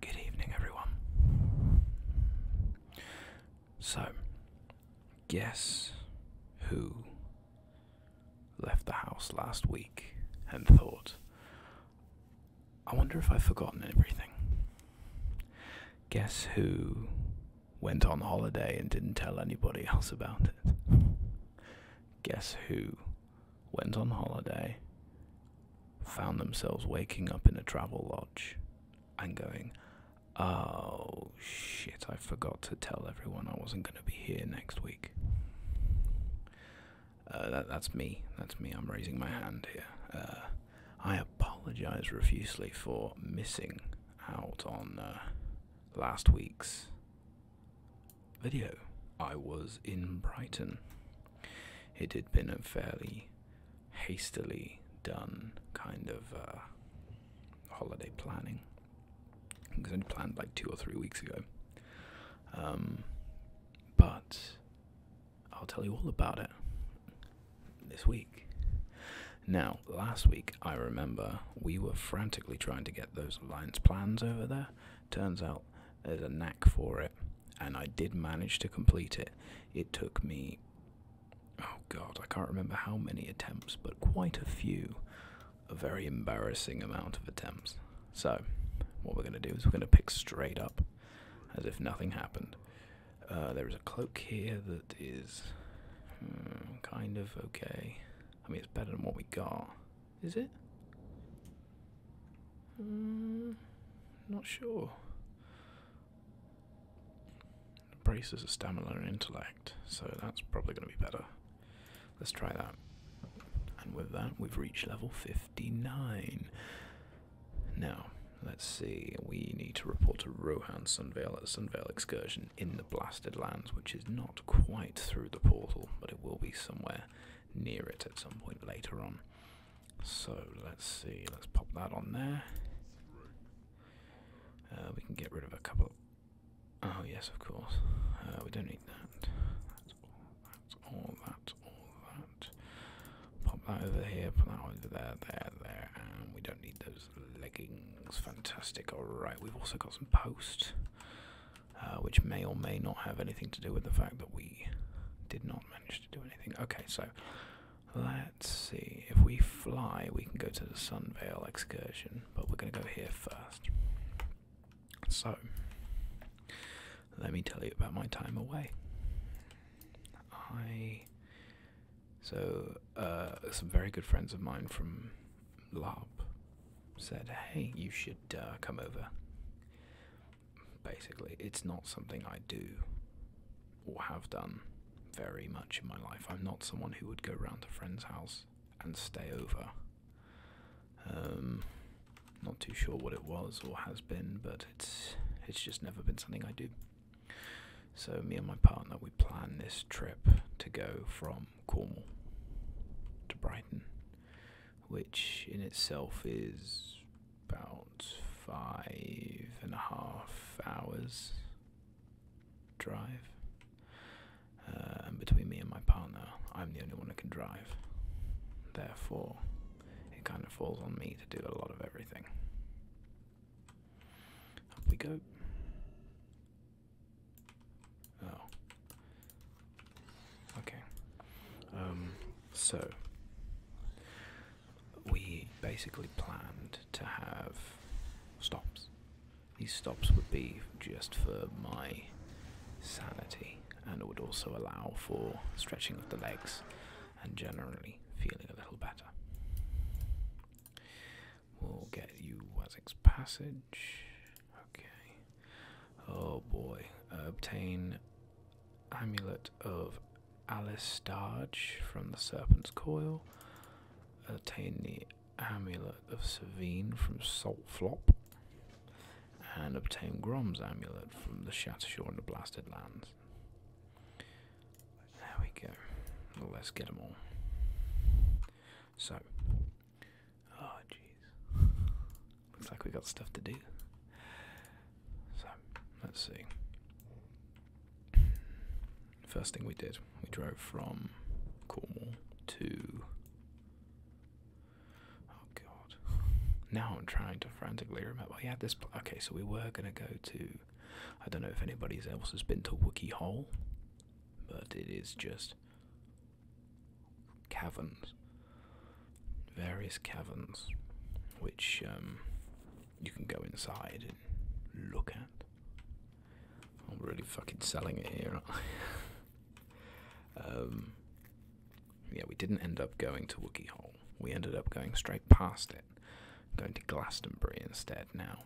Good evening, everyone. So, guess who left the house last week and thought, I wonder if I've forgotten everything? Guess who went on holiday and didn't tell anybody else about it? Guess who went on holiday, found themselves waking up in a travel lodge and going, Oh shit, I forgot to tell everyone I wasn't going to be here next week. Uh, that's me. That's me. I'm raising my hand here. Uh, I apologize refusely for missing out on uh, last week's video. I was in Brighton. It had been a fairly hastily done kind of uh, holiday planning. It was only planned like two or three weeks ago. Um, but I'll tell you all about it this week. Now, last week, I remember we were frantically trying to get those alliance plans over there Turns out there's a knack for it, and I did manage to complete it. It took me, oh god, I can't remember how many attempts, but quite a few. A very embarrassing amount of attempts. So, what we're going to do is we're going to pick straight up as if nothing happened. Uh, there is a cloak here that is hmm, kind of okay. I mean, it's better than what we got. Is it? Mm, not sure. Brace is a stamina and intellect, so that's probably going to be better. Let's try that. And with that, we've reached level 59. Now, let's see. We need to report to Rohan Sunvale at Sunvale Excursion in the Blasted Lands, which is not quite through the portal, but it will be somewhere near it at some point later on. So let's see, let's pop that on there. Uh, we can get rid of a couple. oh, yes, of course. Uh, we don't need that. That's all, that's all, that's all that. Pop that over here, put that over there, there, there. And we don't need those leggings. Fantastic. Alright, we've also got some post. Uh, which may or may not have anything to do with the fact that we did not manage to do anything. Okay, so let's see. If we fly, we can go to the Sunvale excursion, but we're going to go here first. So, let me tell you about my time away. I. So, uh, some very good friends of mine from LARP said, "Hey, you should uh, come over." Basically, it's not something I do or have done very much in my life. I'm not someone who would go round to a friend's house and stay over. Um, not too sure what it was or has been, but it's it's just never been something I do. So me and my partner we planned this trip to go from Cornwall to Brighton which in itself is about five and a half hours drive. Uh, and between me and my partner, I'm the only one who can drive. Therefore, it kind of falls on me to do a lot of everything. Up we go. Oh. Okay. Um, so, we basically planned to have stops. These stops would be just for my sanity and it would also allow for stretching of the legs and generally feeling a little better. We'll get you Wazzik's Passage. Okay. Oh boy. Uh, obtain amulet of Alice Alistarge from the Serpent's Coil. Obtain the amulet of Savine from Salt Flop. And obtain Grom's amulet from the Shore in the Blasted Lands. There we go. let's get them all. So, Oh, jeez. Looks like we got stuff to do. So, let's see. First thing we did, we drove from Cornwall to. Oh God! Now I'm trying to frantically remember. We had this. Okay, so we were gonna go to. I don't know if anybody else has been to Wookie Hole, but it is just caverns, various caverns, which um, you can go inside and look at. I'm really fucking selling it here. um, yeah, we didn't end up going to Wookie Hole. We ended up going straight past it, going to Glastonbury instead now.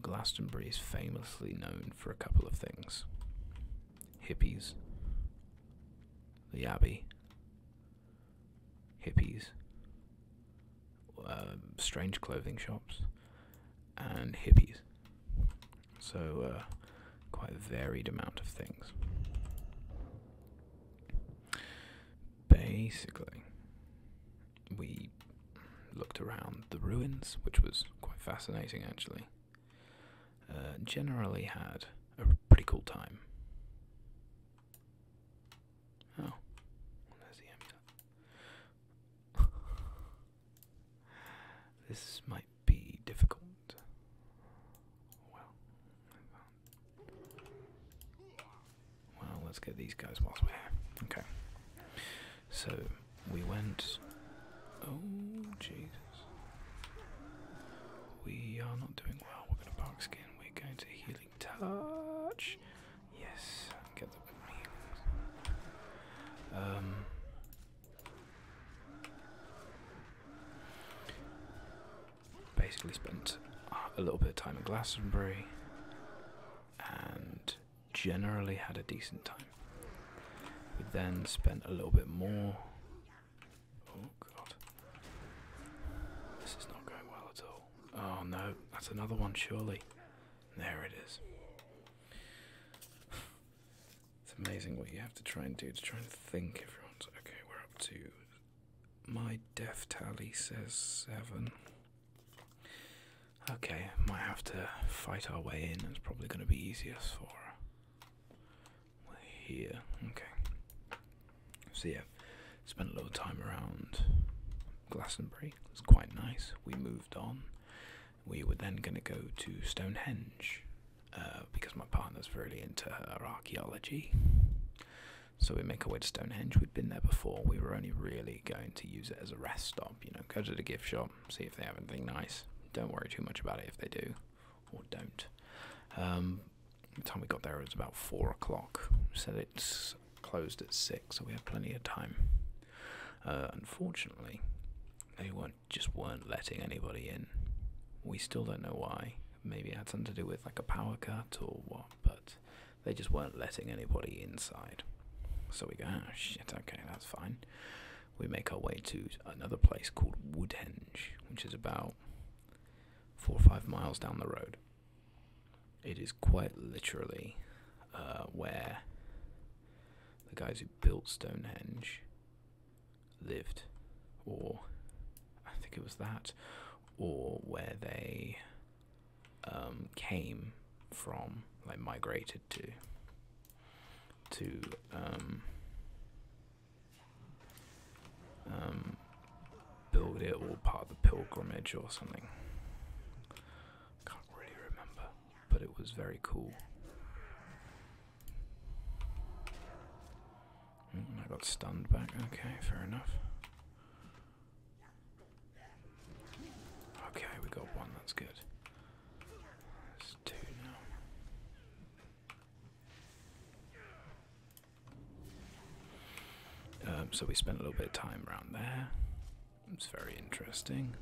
Glastonbury is famously known for a couple of things hippies, the Abbey, hippies, um, strange clothing shops, and hippies. So, uh, quite a varied amount of things. Basically, we looked around the ruins, which was quite fascinating actually. Uh, generally had a pretty cool time. Oh, there's the amulet. this might be difficult. Well, well, let's get these guys whilst we're here. Okay. So we went. Oh, jeez. We are not doing well. We're going to bark skin. We're going to healing touch. Yes, Um, basically spent a little bit of time in Glastonbury and generally had a decent time. We then spent a little bit more Oh god. This is not going well at all. Oh no, that's another one surely. There it is. it's amazing what you have to try and do to try and think everyone's okay, we're up to my death tally says seven. Okay, might have to fight our way in. It's probably going to be easiest for here. Okay. So yeah, spent a little time around Glastonbury. It's quite nice. We moved on. We were then going to go to Stonehenge uh, because my partner's really into her archaeology. So we make our way to Stonehenge. We'd been there before. We were only really going to use it as a rest stop. You know, go to the gift shop, see if they have anything nice. Don't worry too much about it if they do or don't. Um, the time we got there was about four o'clock, so it's closed at six, so we have plenty of time. Uh, unfortunately, they just weren't letting anybody in. We still don't know why. Maybe it had something to do with like a power cut or what, but they just weren't letting anybody inside. So we go, oh shit, okay, that's fine we make our way to another place called Woodhenge, which is about four or five miles down the road. It is quite literally uh, where the guys who built Stonehenge lived, or I think it was that, or where they um, came from, like migrated to, to um, um, build it or part of the pilgrimage or something. Can't really remember, but it was very cool. Mm, I got stunned back. Okay, fair enough. Okay, we got one. That's good. There's two now. Um, so we spent a little bit of time around there. It was very interesting.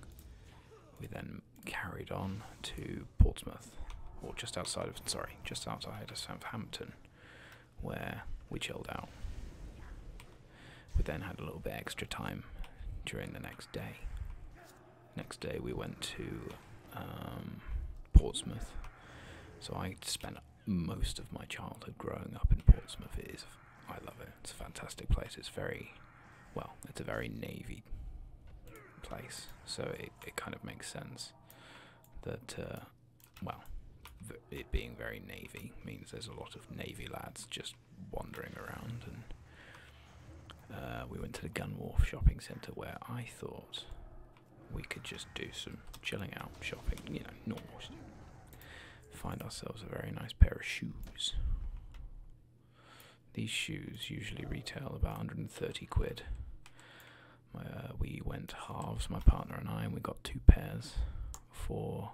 We then carried on to Portsmouth, or just outside of, sorry, just outside of Southampton, where we chilled out. We then had a little bit extra time during the next day. Next day we went to um, Portsmouth. So I spent most of my childhood growing up in Portsmouth. It is, I love it. It's a fantastic place. It's very, well, it's a very navy place. So it, it kind of makes sense that, uh, well, it being very navy means there's a lot of navy lads just wandering around and uh, we went to the Gun shopping centre where I thought we could just do some chilling out shopping, you know, normal Find ourselves a very nice pair of shoes. These shoes usually retail about 130 quid. Uh, we went halves, my partner and I, and we got two pairs for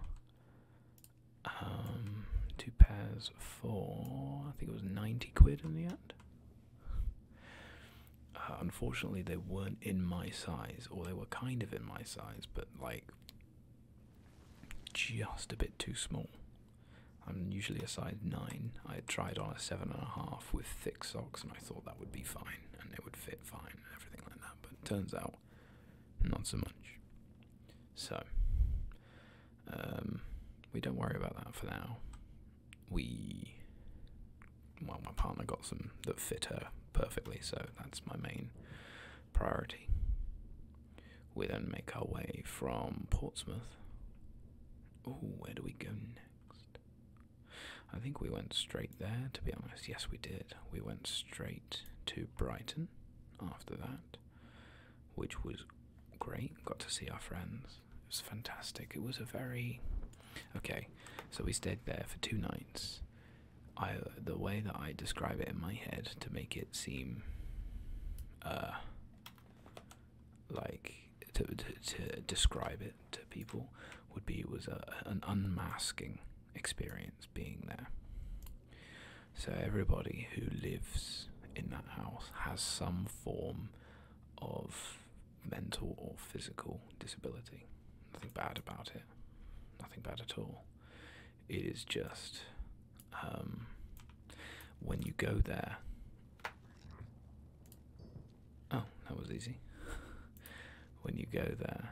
um, two pairs for I think it was 90 quid in the end. Uh, unfortunately, they weren't in my size, or they were kind of in my size, but like just a bit too small. I'm usually a size 9. I tried on a 7.5 with thick socks, and I thought that would be fine, and it would fit fine, and everything like that, but it turns out not so much. So, um, we don't worry about that for now we well my partner got some that fit her perfectly, so that's my main priority. We then make our way from Portsmouth. Oh, where do we go next? I think we went straight there, to be honest. Yes, we did. We went straight to Brighton after that, which was great. Got to see our friends. It was fantastic. It was a very okay. So we stayed there for two nights. I the way that I describe it in my head to make it seem uh like to to, to describe it to people would be it was a, an unmasking experience being there. So everybody who lives in that house has some form of mental or physical disability. Nothing bad about it. Nothing bad at all. It is just um, when you go there. Oh, that was easy. when you go there,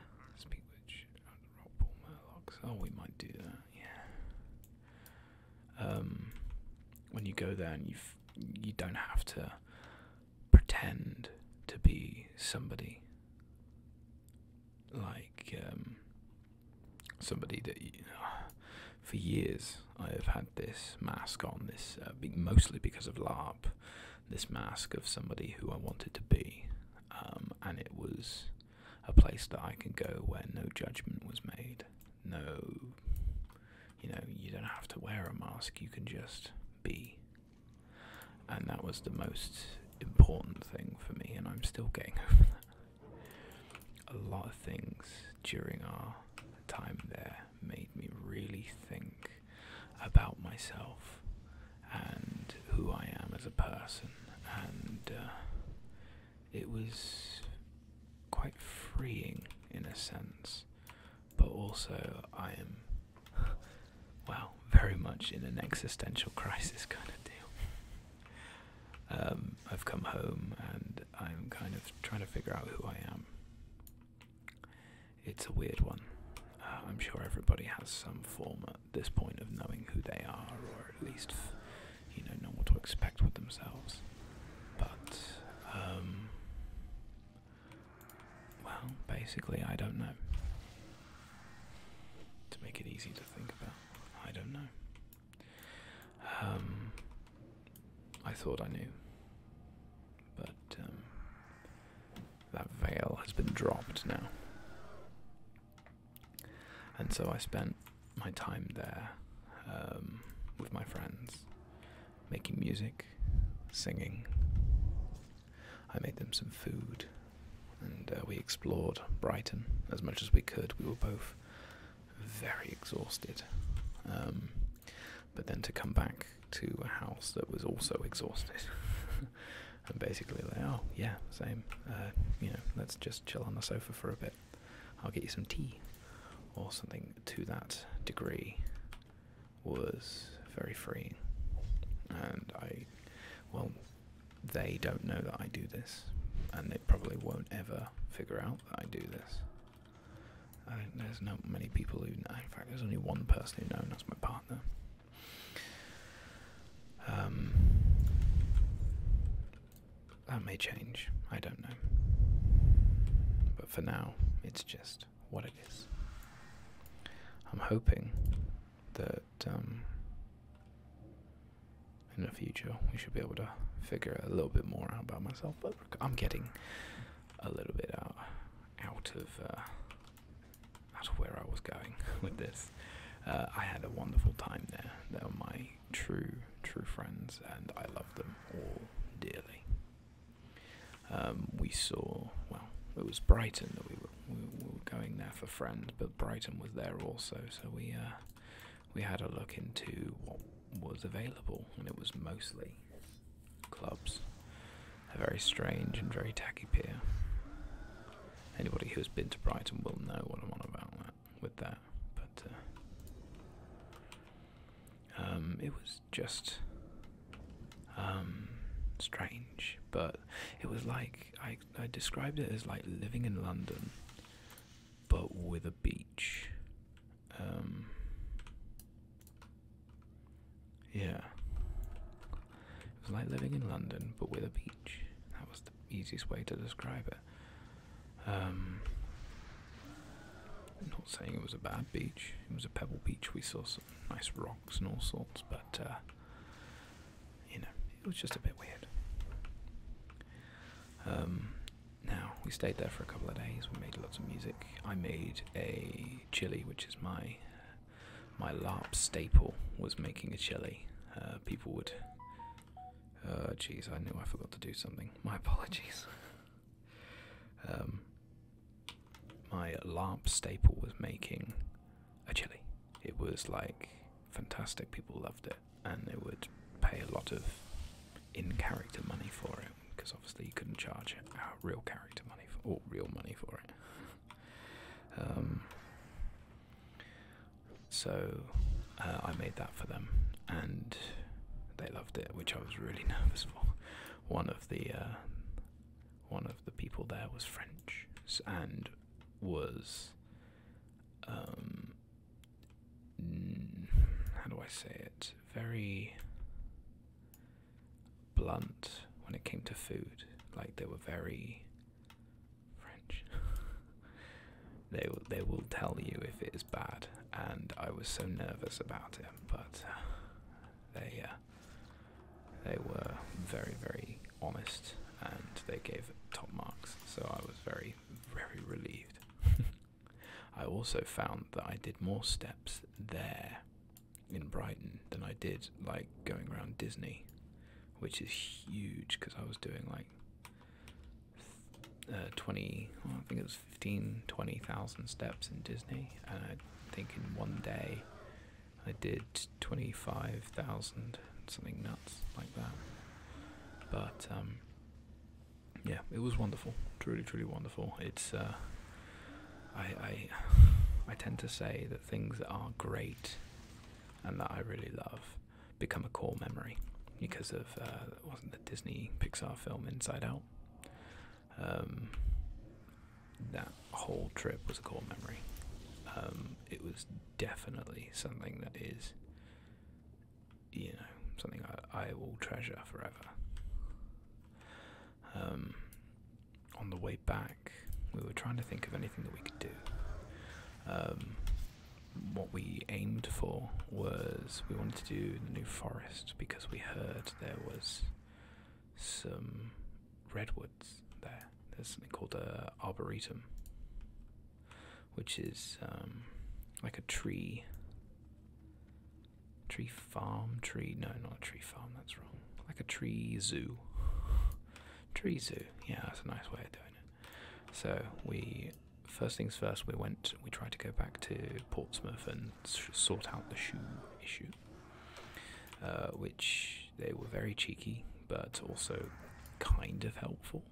Oh, we might do that. Yeah. Um, when you go there and you you don't have to pretend to be somebody like um, somebody that for years I have had this mask on this uh, mostly because of LARP this mask of somebody who I wanted to be um, and it was a place that I can go where no judgment was made no you know, you don't have to wear a mask, you can just be. And that was the most important thing for me, and I'm still getting over that. A lot of things during our time there made me really think about myself and who I am as a person, and uh, it was quite freeing in a sense, but also I am, well, very much in an existential crisis kind of deal. Um, I've come home and I'm kind of trying to figure out who I am. It's a weird one. Uh, I'm sure everybody has some form at this point of knowing who they are, or at least, you know, know what to expect with themselves. But um, well, basically, I don't know. To make it easy to think about, I don't know. Um, I thought I knew, but um, that veil has been dropped now. And so I spent my time there um, with my friends, making music, singing. I made them some food, and uh, we explored Brighton as much as we could. We were both very exhausted. Um, but then to come back to a house that was also exhausted. and basically, like, oh, yeah, same. Uh, you know, let's just chill on the sofa for a bit. I'll get you some tea or something to that degree was very freeing. And I, well, they don't know that I do this, and they probably won't ever figure out that I do this. I do there's not many people who know. In fact, there's only one person who knows, and that's my partner. Um, that may change, I don't know. But for now, it's just what it is. I'm hoping that um, in the future we should be able to figure a little bit more out about myself. But I'm getting a little bit out uh, out of uh, out of where I was going with this. Uh, I had a wonderful time there. There were my true, true friends, and I love them all dearly. Um, we saw, well, it was Brighton that we were, going there for friends, but Brighton was there also, so we uh, we had a look into what was available, and it was mostly clubs. A very strange and very tacky pier. Anybody who's been to Brighton will know what I'm on about that, with that, but. Uh, um, it was just um, strange, but it was like I, described it as like living in London, but with a beach. Um, yeah, it was like living in London, but with a beach. That was the easiest way to describe it. I'm um, not saying it was a bad beach. It was a pebble beach. We saw some nice rocks and all sorts, but uh, you know, it was just a bit weird. Um, now we stayed there for a couple of days. We made lots of music. I made a chili, which is my my LARP staple. Was making a chili. Uh, people would. Uh, jeez, I knew I forgot to do something. My apologies. Um, my LARP staple was making a chili. It was like fantastic. People loved it, and they would pay a lot of in-character money for it because obviously you couldn't charge uh, real character money for, or real money for it. Um, so uh, I made that for them, and they loved it, which I was really nervous for. One of the uh, one of the people there was French and was um, how do I say it? Very blunt when it came to food. Like they were very French. they will, they will tell you if it is bad. And I was so nervous about it, but uh, they uh, they were very very honest and they gave top marks. So I was very very relieved. I also found that I did more steps there in Brighton than I did like going around Disney, which is huge because I was doing like uh, 20, I think it was 15, steps in Disney. And I think in one day I did 25,000, something nuts like that. But um, yeah, it was wonderful, truly, truly wonderful. It's, uh, I, I, tend to say that things that are great and that I really love become a core memory because of uh, wasn't the Disney Pixar film Inside Out. Um, that whole trip was a core memory. Um, it was definitely something that is, you know, something I, I will treasure forever. Um, on the way back, we were trying to think of anything that we could do. Um, what we aimed for was we wanted to do the New Forest because we heard there was some redwoods there. There's something called a arboretum, which is um, like a tree, tree farm, tree. No, not a tree farm. That's wrong. Like a tree zoo, tree zoo. Yeah, that's a nice way of doing it. So we first things first, we went. We tried to go back to Portsmouth and sort out the shoe issue, uh, which they were very cheeky, but also kind of helpful,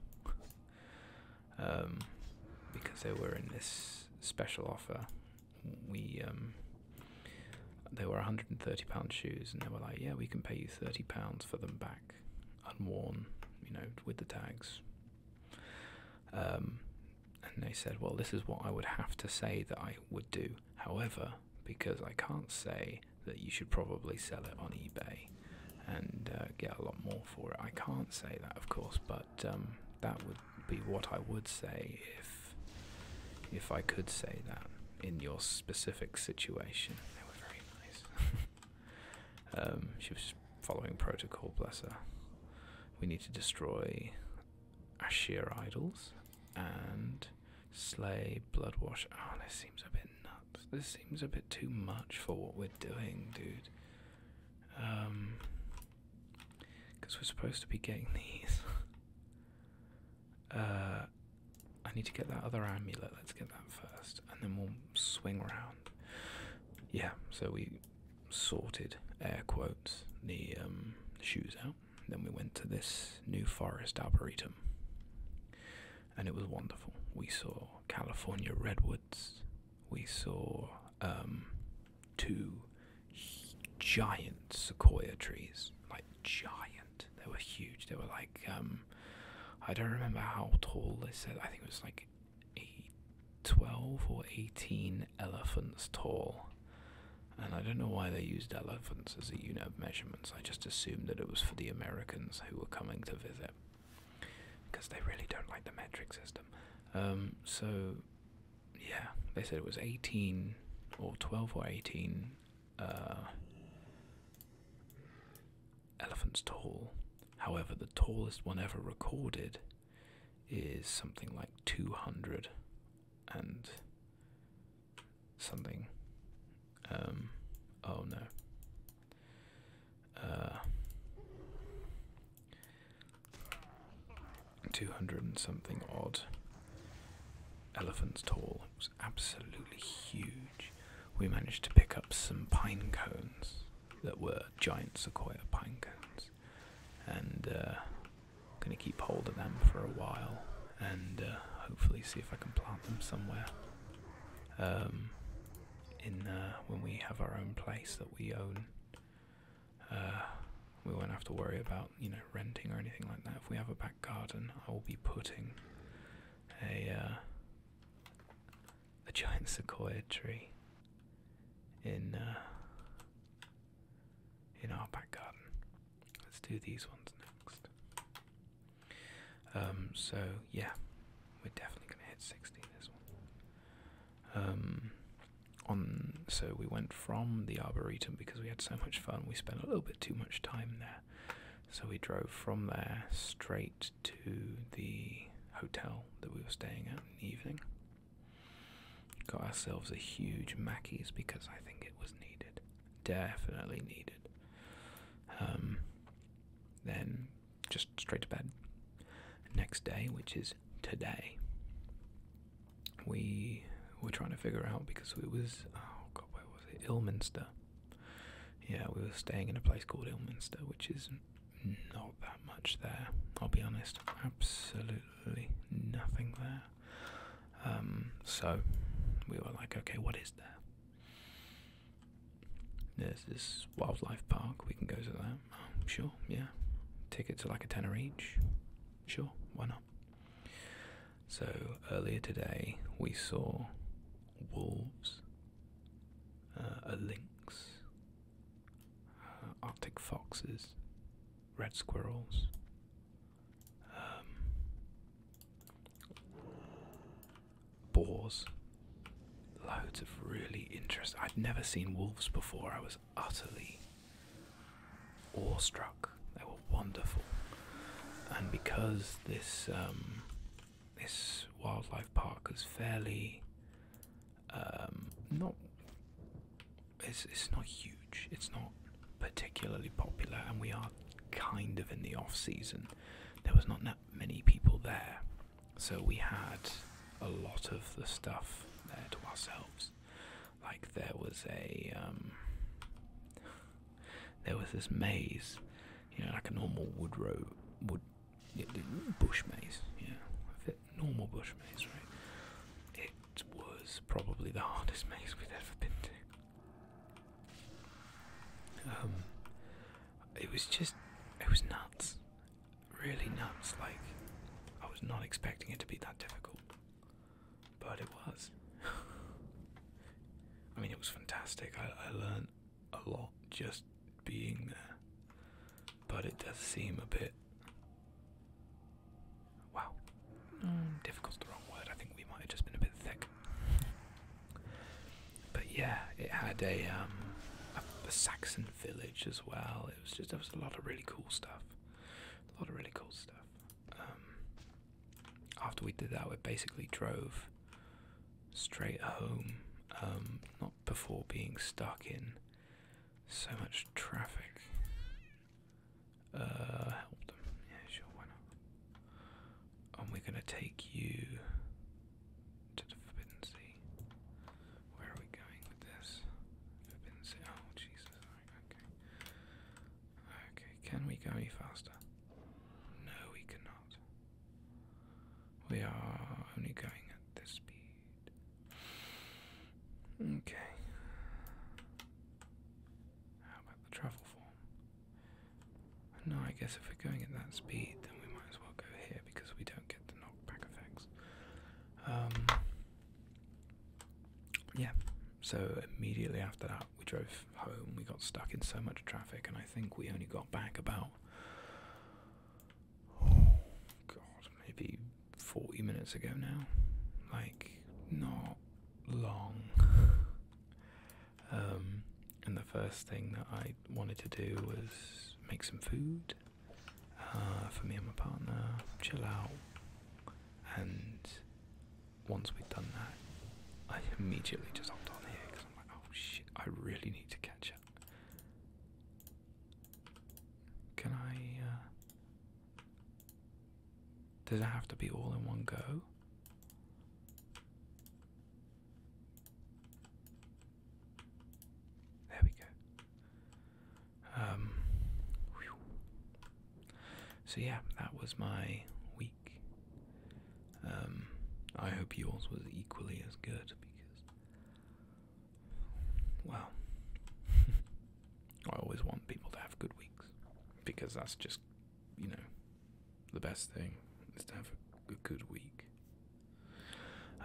um, because they were in this special offer. We um, they were 130 pound shoes, and they were like, "Yeah, we can pay you 30 pounds for them back, unworn, you know, with the tags." Um, and they said, Well, this is what I would have to say that I would do. However, because I can't say that you should probably sell it on eBay and uh, get a lot more for it, I can't say that, of course, but um, that would be what I would say if, if I could say that in your specific situation. They were very nice. Um, she was following protocol, bless her. We need to destroy Ashir idols and slay Bloodwash. Oh, ah, this seems a bit nuts. This seems a bit too much for what we're doing, dude. Um, because we're supposed to be getting these. uh, I need to get that other amulet. Let's get that first, and then we'll swing around. Yeah, so we sorted air quotes the um, shoes out. Then we went to this New Forest Arboretum, and it was wonderful. We saw California redwoods. We saw um, two giant sequoia trees, like giant. They were huge. They were like um, I don't remember how tall they said. I think it was like eight, 12 or 18 elephants tall. And I don't know why they used elephants as a unit of measurements. I just assumed that it was for the Americans who were coming to visit. Because they really don't like the metric system. Um, so, yeah, they said it was 18 or 12 or 18 uh, elephants tall. However, the tallest one ever recorded is something like 200 and something. Um, oh no. Uh, 200 and something odd elephants tall. It was absolutely huge. We managed to pick up some pine cones that were giant sequoia pine cones and I'm uh, gonna keep hold of them for a while and uh, hopefully see if I can plant them somewhere um, in uh, when we have our own place that we own. we won't have to worry about you know renting or anything like that. If we have a back garden, I will be putting a a giant sequoia tree in uh, in our back garden. Let's do these ones next. Um, so yeah, we're definitely gonna hit sixty this one. Um, on so we went from the arboretum because we had so much fun. We spent a little bit too much time there, so we drove from there straight to the hotel that we were staying at in the evening. Got ourselves a huge Mackie's because I think it was needed. Definitely needed. Um, then just straight to bed. Next day, which is today, we were trying to figure out because it was, oh god, where was it? Ilminster. Yeah, we were staying in a place called Ilminster, which is not that much there. I'll be honest, absolutely nothing there. Um, so we were like, okay, what is there? There's this wildlife park. We can go to that. Um, sure, yeah. Tickets are like a tenner each. Sure, why not? So earlier today we saw wolves, uh, a lynx, uh, Arctic foxes, red squirrels. Um, boars, loads of really interesting. I'd never seen wolves before. I was utterly awestruck. They were wonderful, and because this um, this wildlife park is fairly um, not it's it's not huge. It's not particularly popular, and we are kind of in the off season. There was not that many people there, so we had a lot of the stuff there to ourselves. Like there was a um, there was this maze, you know, like a normal wood road wood bush maze, yeah. Normal bush maze, right? It was probably the hardest maze we'd ever been to. Um, it was just, it was nuts. Really nuts. Like, I was not expecting it to be that difficult. But it was. I mean, it was fantastic. I, I learned a lot just being there but it does seem a bit. Wow. Hmm. Difficult's the wrong word. I think we might have just been a bit thick. But yeah, it had um, a, a, Saxon village as well. It was just, there was a lot of really cool stuff. A lot of really cool stuff. Um, after we did that, we basically drove straight home. Um, not before being stuck in so much traffic. help uh, them. Yeah, sure, why not? And we're gonna take you to the Forbidden Sea. Where are we going with this? Forbidden Sea. Oh, Jesus. Okay. Okay, can we go any faster? No, we cannot. We are only going at this speed. Okay. How about the travel form? No, I guess if we're going at that speed, then we might as well go here because we don't get the knockback effects. Um, yeah, so immediately after that, we drove home. We got stuck in so much traffic, and I think we only got back about oh god, maybe 40 minutes ago now. Like, not long. Um, and the first thing that I wanted to do was make some food uh, for me and my partner, chill out. And once we've done that, I immediately just hopped on here because I'm like, oh shit, I really need to catch up. Can I, uh, Does it have to be all in one go? There we go. Um. So, yeah, that was my week. Um, I hope yours was equally as good because well, I always want people to have good weeks because that's just, you know, the best thing is to have a good week.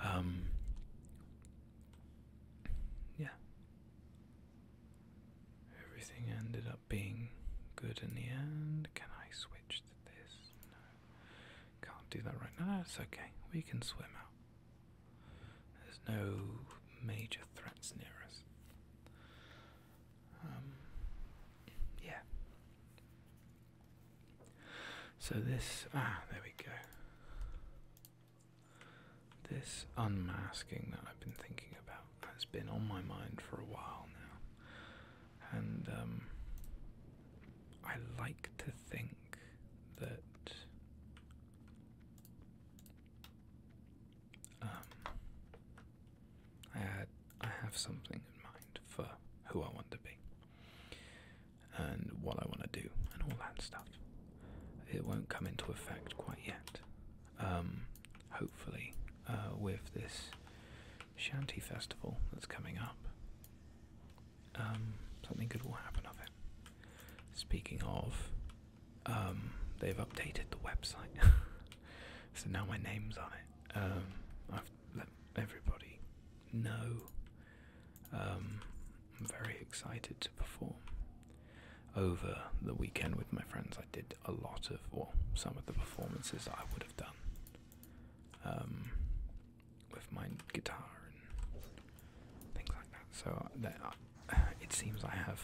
Um, yeah. Everything ended up being good in the end. Can I switch to this? No. Can't do that right now. No, it's okay. We can swim out. There's no major threats near us. Um, yeah. So this ah, there we go. This unmasking that I've been thinking about has been on my mind for a while now, and um, I like to think think that um, I have something in mind for who I want to be and what I want to do and all that stuff. It won't come into effect quite yet. Um, hopefully, uh, with this shanty festival that's coming up, um, something good will happen of it. Speaking of, um, they've updated the website, so now my name's on it. Um, I've let everybody know. I'm very excited to perform. Over the weekend with my friends, I did a lot of, well, some of the performances I would have done with my guitar and things like that. So uh, uh, it seems I have.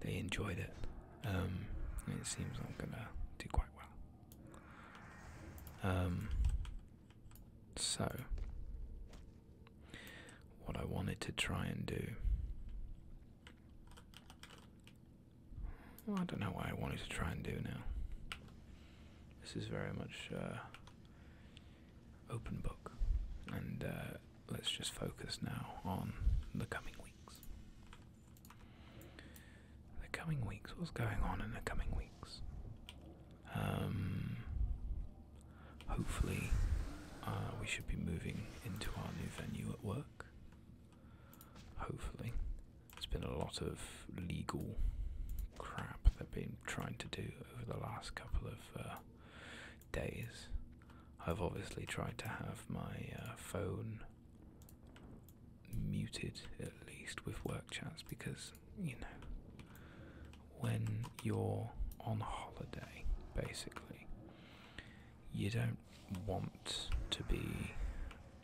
They enjoyed it. Um, it seems I'm gonna do quite well. Um, so what I wanted to try and do. I don't know why I wanted to try and do now. This is very much uh, open book. And uh, let's just focus now on the coming weeks. The coming weeks, what's going on in the coming weeks? Um, hopefully, uh, we should be moving into our new venue at work. Hopefully, it has been a lot of legal crap they've been trying to do over the last couple of uh, days. I've obviously tried to have my uh, phone muted at least with work chats because, you know, when you're on holiday, basically, you don't want to be,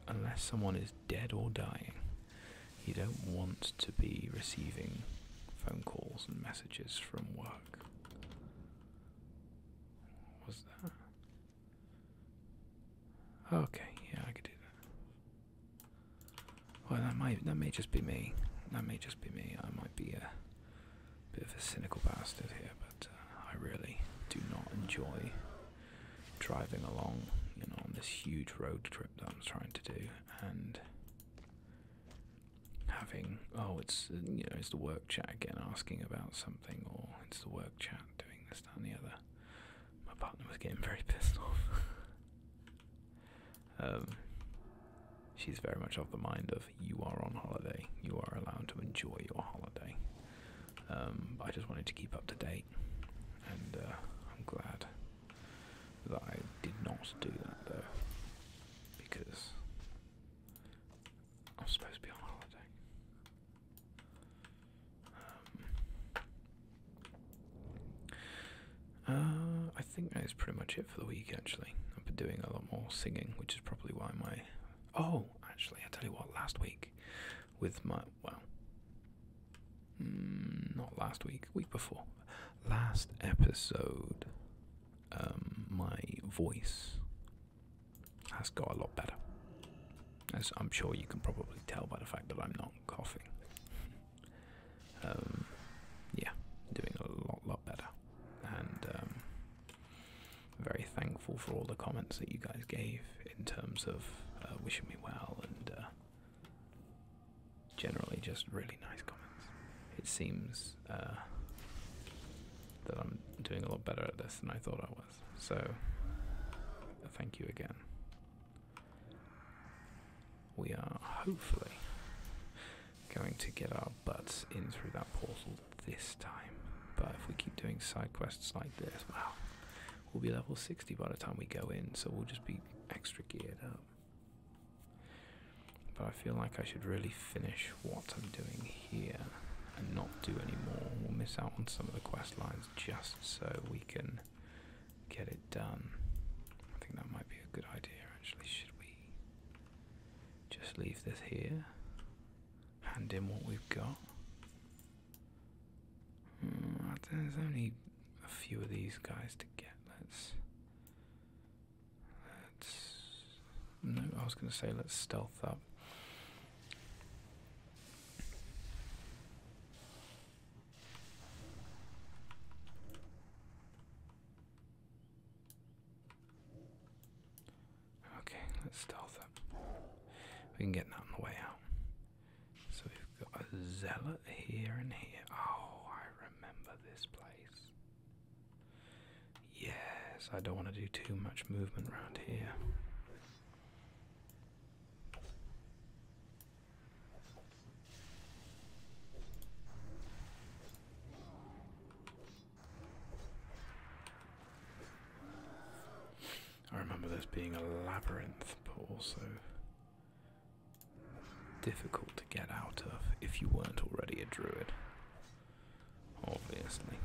unless someone is dead or dying, you don't want to be receiving phone calls and messages from work. was that? Okay, yeah, I could do that. Well, that might that may just be me. That may just be me. I might be a bit of a cynical bastard here, but uh, I really do not enjoy driving along, you know, on this huge road trip that I'm trying to do, and having oh it's uh, you know it's the work chat again asking about something or it's the work chat doing this that and the other my partner was getting very pissed off um, she's very much of the mind of you are on holiday you are allowed to enjoy your holiday um, i just wanted to keep up to date and uh, i'm glad that I did not do that though, because I'm supposed to be on holiday. Um, uh, I think that is pretty much it for the week. Actually, I've been doing a lot more singing, which is probably why my oh, actually, I tell you what, last week with my well, Mm, not last week, week before, last episode, um, my voice has got a lot better. As I'm sure you can probably tell by the fact that I'm not coughing. Um, yeah, doing a lot, lot better. And um, very thankful for all the comments that you guys gave in terms of uh, wishing me well and uh, generally just really nice comments. It seems uh, that I'm doing a lot better at this than I thought I was. So, thank you again. We are hopefully going to get our butts in through that portal this time. But if we keep doing side quests like this, wow, we'll be level 60 by the time we go in, so we'll just be extra geared up. But I feel like I should really finish what I'm doing here and not do any more. We'll miss out on some of the quest lines just so we can get it done. I think that might be a good idea actually. Should we just leave this here? Hand in what we've got? Hmm, there's only a few of these guys to get. Let's. Let's. No, I was going to say let's stealth up. Okay, let's stealth up. We can get that on the way out. So we've got a zealot here and here. Oh, I remember this place. Yes, I don't want to do too much movement around here. I remember this being a labyrinth, but also difficult to get out of if you weren't already a druid. Obviously.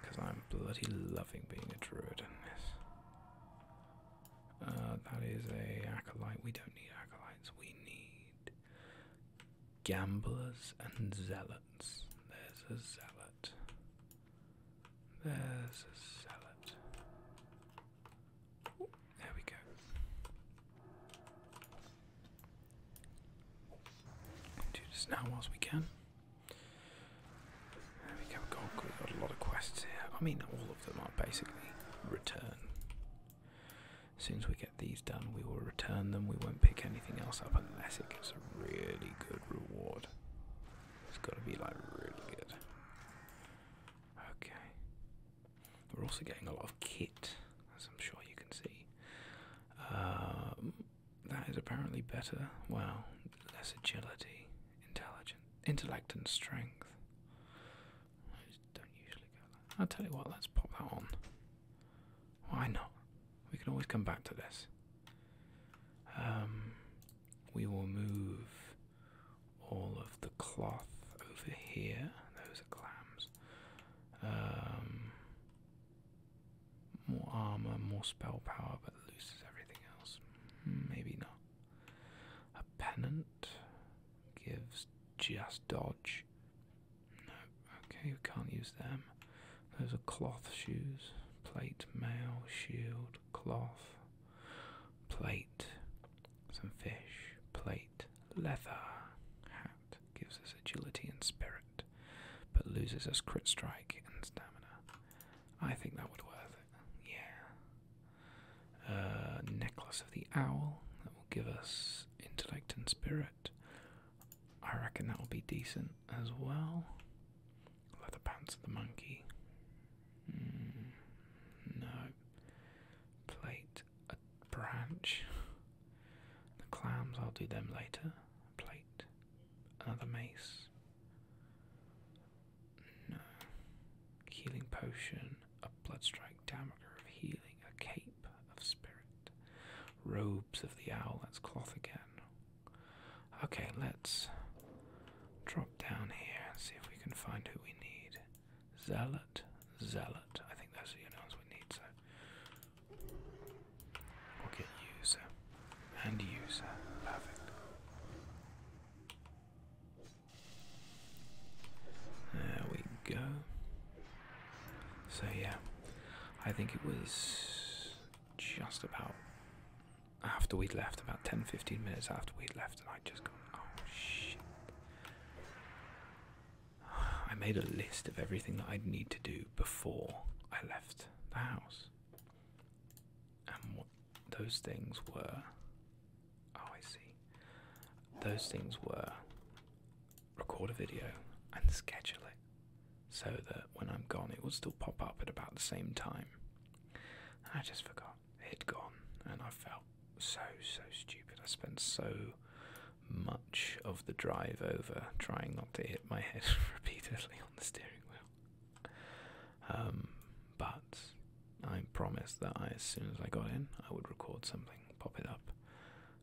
Because I'm bloody loving being a druid in this. Uh, that is a acolyte. We don't need acolytes. We need gamblers and zealots. There's a zealot. There's a zealot. There we go. Do this now whilst we can. we have got, a lot of quests here. I mean, all of them are basically return. As soon as we get these done, we will return them. We won't pick anything else up unless it gives a really good reward. It's got to be like really good. Okay. We're also getting a lot of kit, as I'm sure you can see. Um, that is apparently better. Well, less agility, intelligence, intellect, and strength. I don't usually go I'll tell you what, let's pop that on. Why not? We can always come back to this. Um, we will move all of the cloth over here. Those are clams. Um, more armor, more spell power, but loses everything else. Maybe not. A pennant gives just dodge. No, okay, we can't use them. Those are cloth shoes, plate, mail, shield cloth, plate, some fish, plate, leather, hat, gives us agility and spirit, but loses us crit strike and stamina. I think that would worth it, yeah. Uh, necklace of the owl, that will give us intellect and spirit. I reckon that will be decent as well. Leather pants of the monkey, Mm, no. Plate a branch. The clams, I'll do them later. Plate another mace. No. Healing potion, a bloodstrike damager of healing, a cape of spirit, robes of the owl, that's cloth again. Okay, let's drop down here and see if we can find who we need. Zealot, zealot. I think that's the only we need, so we'll get user and user. There we go. So yeah, I think it was just about after we'd left, about 10 15 minutes after we'd left, and i just gone, oh shit. I made a list of everything that I'd need to do before I left the house. And what those things were. Oh, I see. Those things were record a video and schedule it so that when I'm gone, it will still pop up at about the same time. I just forgot had gone, and I felt so, so stupid. I spent so much of the drive over trying not to hit my head repeatedly on the steering wheel. Um, but I promised that as soon as I got in, I would record something, pop it up,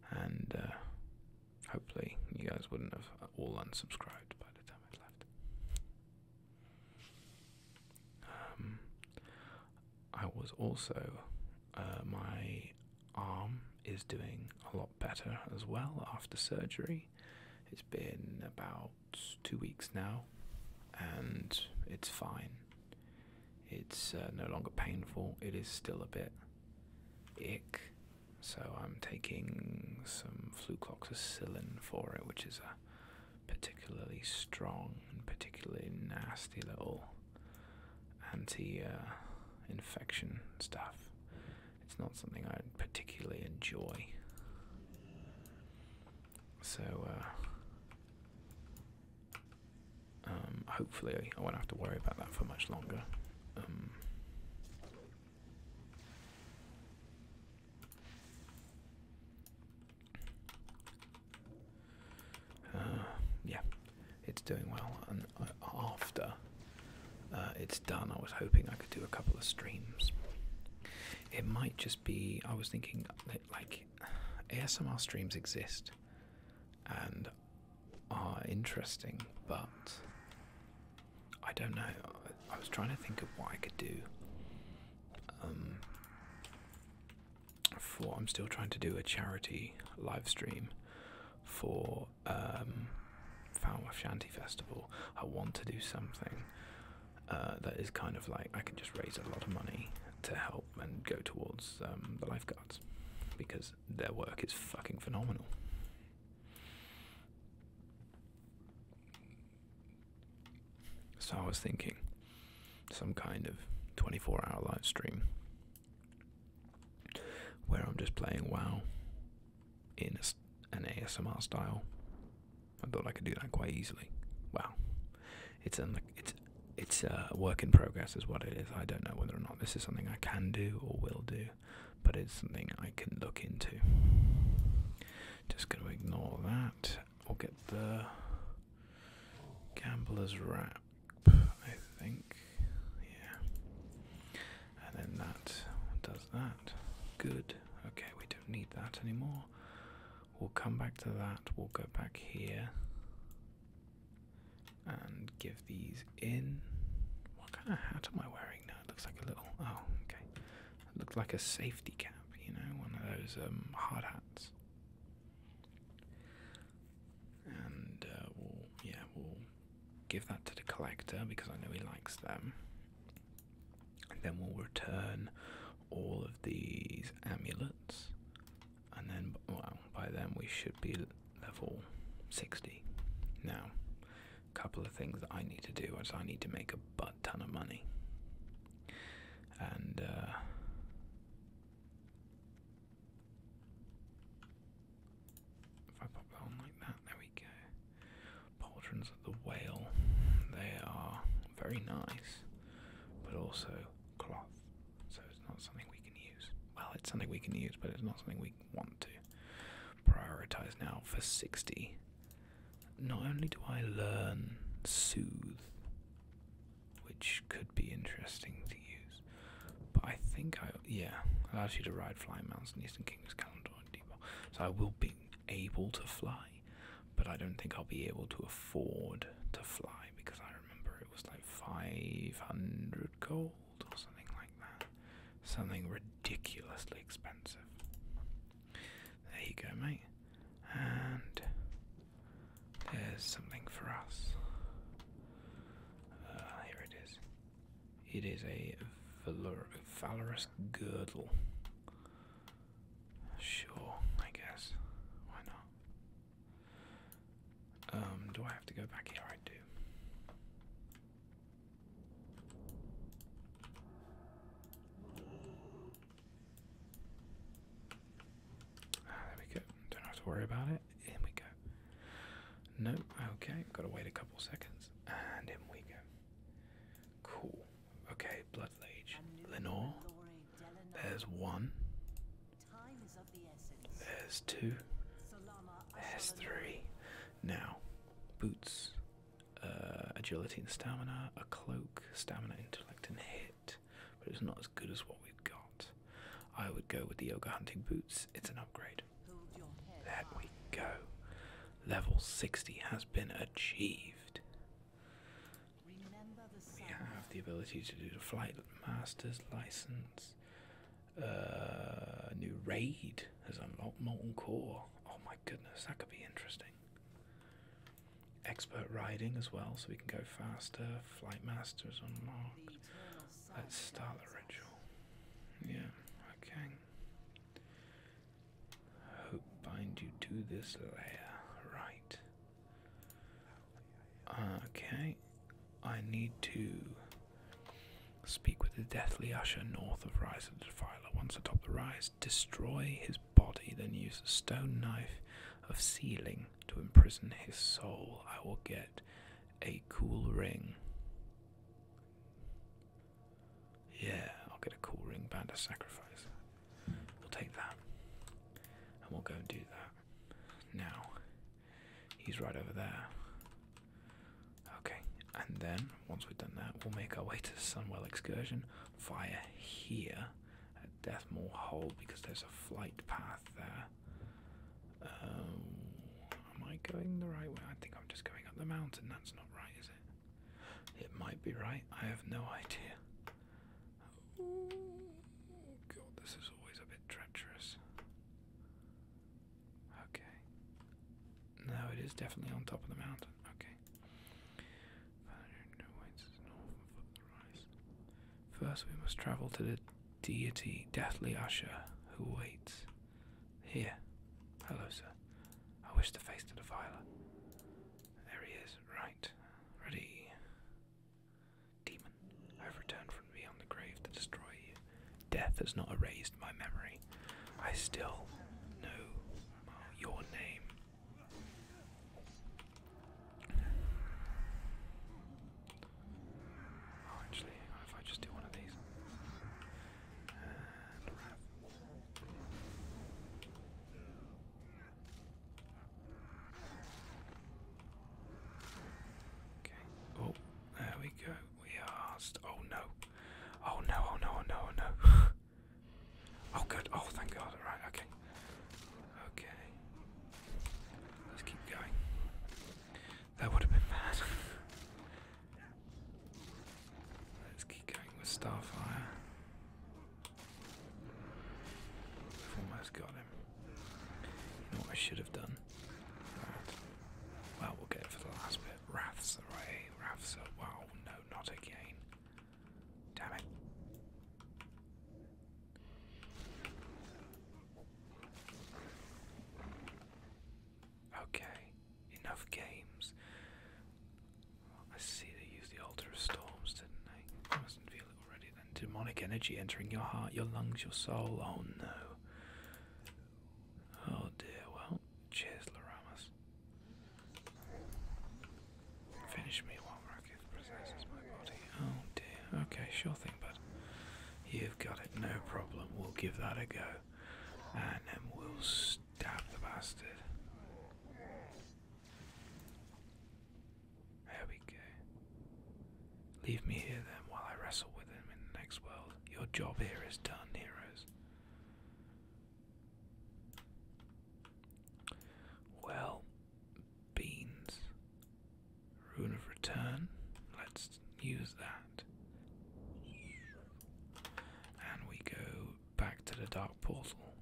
and uh, hopefully you guys wouldn't have all unsubscribed by the time I left. Um, I was also, uh, my arm is doing a lot better as well after surgery. It's been about two weeks now, and it's fine. It's uh, no longer painful, it is still a bit ick. So I'm taking some flucloxacillin for it, which is a particularly strong and particularly nasty little anti infection stuff. It's not something I particularly enjoy. So, uh, um, hopefully, I won't have to worry about that for much longer. Um, uh, yeah, it's doing well. And uh, after uh, it's done, I was hoping I could do a couple of streams. It might just be, I was thinking, like, ASMR streams exist and are interesting, but I don't know. I was trying to think of what I could do um, for I'm still trying to do a charity live stream for um, of Shanty Festival. I want to do something uh, that is kind of like I can just raise a lot of money to help and go towards um, the lifeguards because their work is fucking phenomenal. So I was thinking some kind of 24 hour live stream where I'm just playing WoW in an ASMR style. I thought I could do that quite easily. Wow, it's a work in progress, is what it is. I don't know whether or not this is something I can do or will do, but it's something I can look into. Just going to ignore that We'll get the gambler's wrap, I think. Yeah. And then that does that. Good. Okay, we don't need that anymore. We'll come back to that. We'll go back here and give these in. What kind of hat am I wearing now? It looks like a little. Oh, okay. It looked like a safety cap, you know, one of those um, hard hats. And uh, yeah, we'll give that to the collector because I know he likes them. then we'll return all of these amulets. And then, well, by then we should be level 60. Now, a couple of things that I need to do is I need to make a bow butt ton of money. And uh, if I pop that on like that, there we go. Pauldrons of the whale. They are very nice, but also cloth. So it's not something we can use. Well, it's something we can use, but it's not something we want to. Prioritize now for 60 not only do I learn soothe, which could be interesting to use, but I think I yeah allows you to ride flying mounts in Eastern Kingdoms, Calendar, Depot. So I will be able to fly, but I don't think I'll be able to afford to fly because I remember it was like five hundred gold or something like that, something ridiculously expensive. There you go, mate and there's something for us. Uh, here it is. It is a valorous girdle. Sure, I guess. Why not? Um, do I have to go back here? I do. Ah, there we go. Don't have to worry about it. In we go. No, okay. Got to wait a couple seconds, and in we go. Cool. Okay, Bloodlage. Lenore. There's one. There's two. there's three. Now, boots, uh, agility and stamina, a cloak, stamina, intellect, and hair but it's not as good as what we've got. I would go with the yoga hunting boots, it's an upgrade. There we go. Level 60 has been achieved. We have the ability to do the flight master's license. Uh, new raid has unlocked Molten Core. Oh my goodness, that could be interesting expert riding as well, so we can go faster. Flight masters unlocked. Let's start the ritual. Yeah, okay. Hope bind you to this layer, right? Okay, I need to speak with the deathly usher north of Rise of the Defiler. Once atop the rise, destroy his body, then use the stone knife of sealing to imprison his soul. I will get a cool ring. Yeah, I'll get a cool ring band of sacrifice. We'll take that. And we'll go and do that. Now, he's right over there. Okay, and then, once we've done that, we'll make our way to the Sunwell excursion via here at Deathmore Hole because there's a flight path there. Um, am I going the right way? I think I'm just going up the mountain. That's not right, is it? It might be right. I have no idea. Oh, God, this is always a bit treacherous. Okay. No, it is definitely on top of the mountain. Okay. First we must travel to the deity Deathly Usher, who waits. Here. Hello, sir. I wish to face the defiler. There he is, right. Ready. Demon, I have returned from beyond the grave to destroy you. Death has not erased my memory. I still know your name. Oh, actually, if I just do one of these. Okay. Oh, there we go. We are. oh no. Oh no, oh no, oh no, oh no. Oh, good. Oh, thank God. All right. Okay. Okay. Let's keep going. That would have been bad. Let's keep going with Starfire. We've almost got him. what I should have done? Right. Well, we'll get it for the last bit. Wrath's away. Wrath's. away. Wow, no, not again. Damn it. Okay, enough games. I see they used the Altar of Storms, didn't they? I must feel it already Demonic energy entering your heart, your lungs, your soul. Oh no. Oh dear, well, cheers, Laramas. Finish me while rocket possesses my body. Oh dear. Okay, sure thing, bud. You've got it, no problem. We'll give that a go. And then we'll stab the bastard. There we go. Leave me here then while I wrestle with him in the next world. Your job here is done, heroes. Well, beans. Rune of return. Let's use that. And we go back to the dark portal.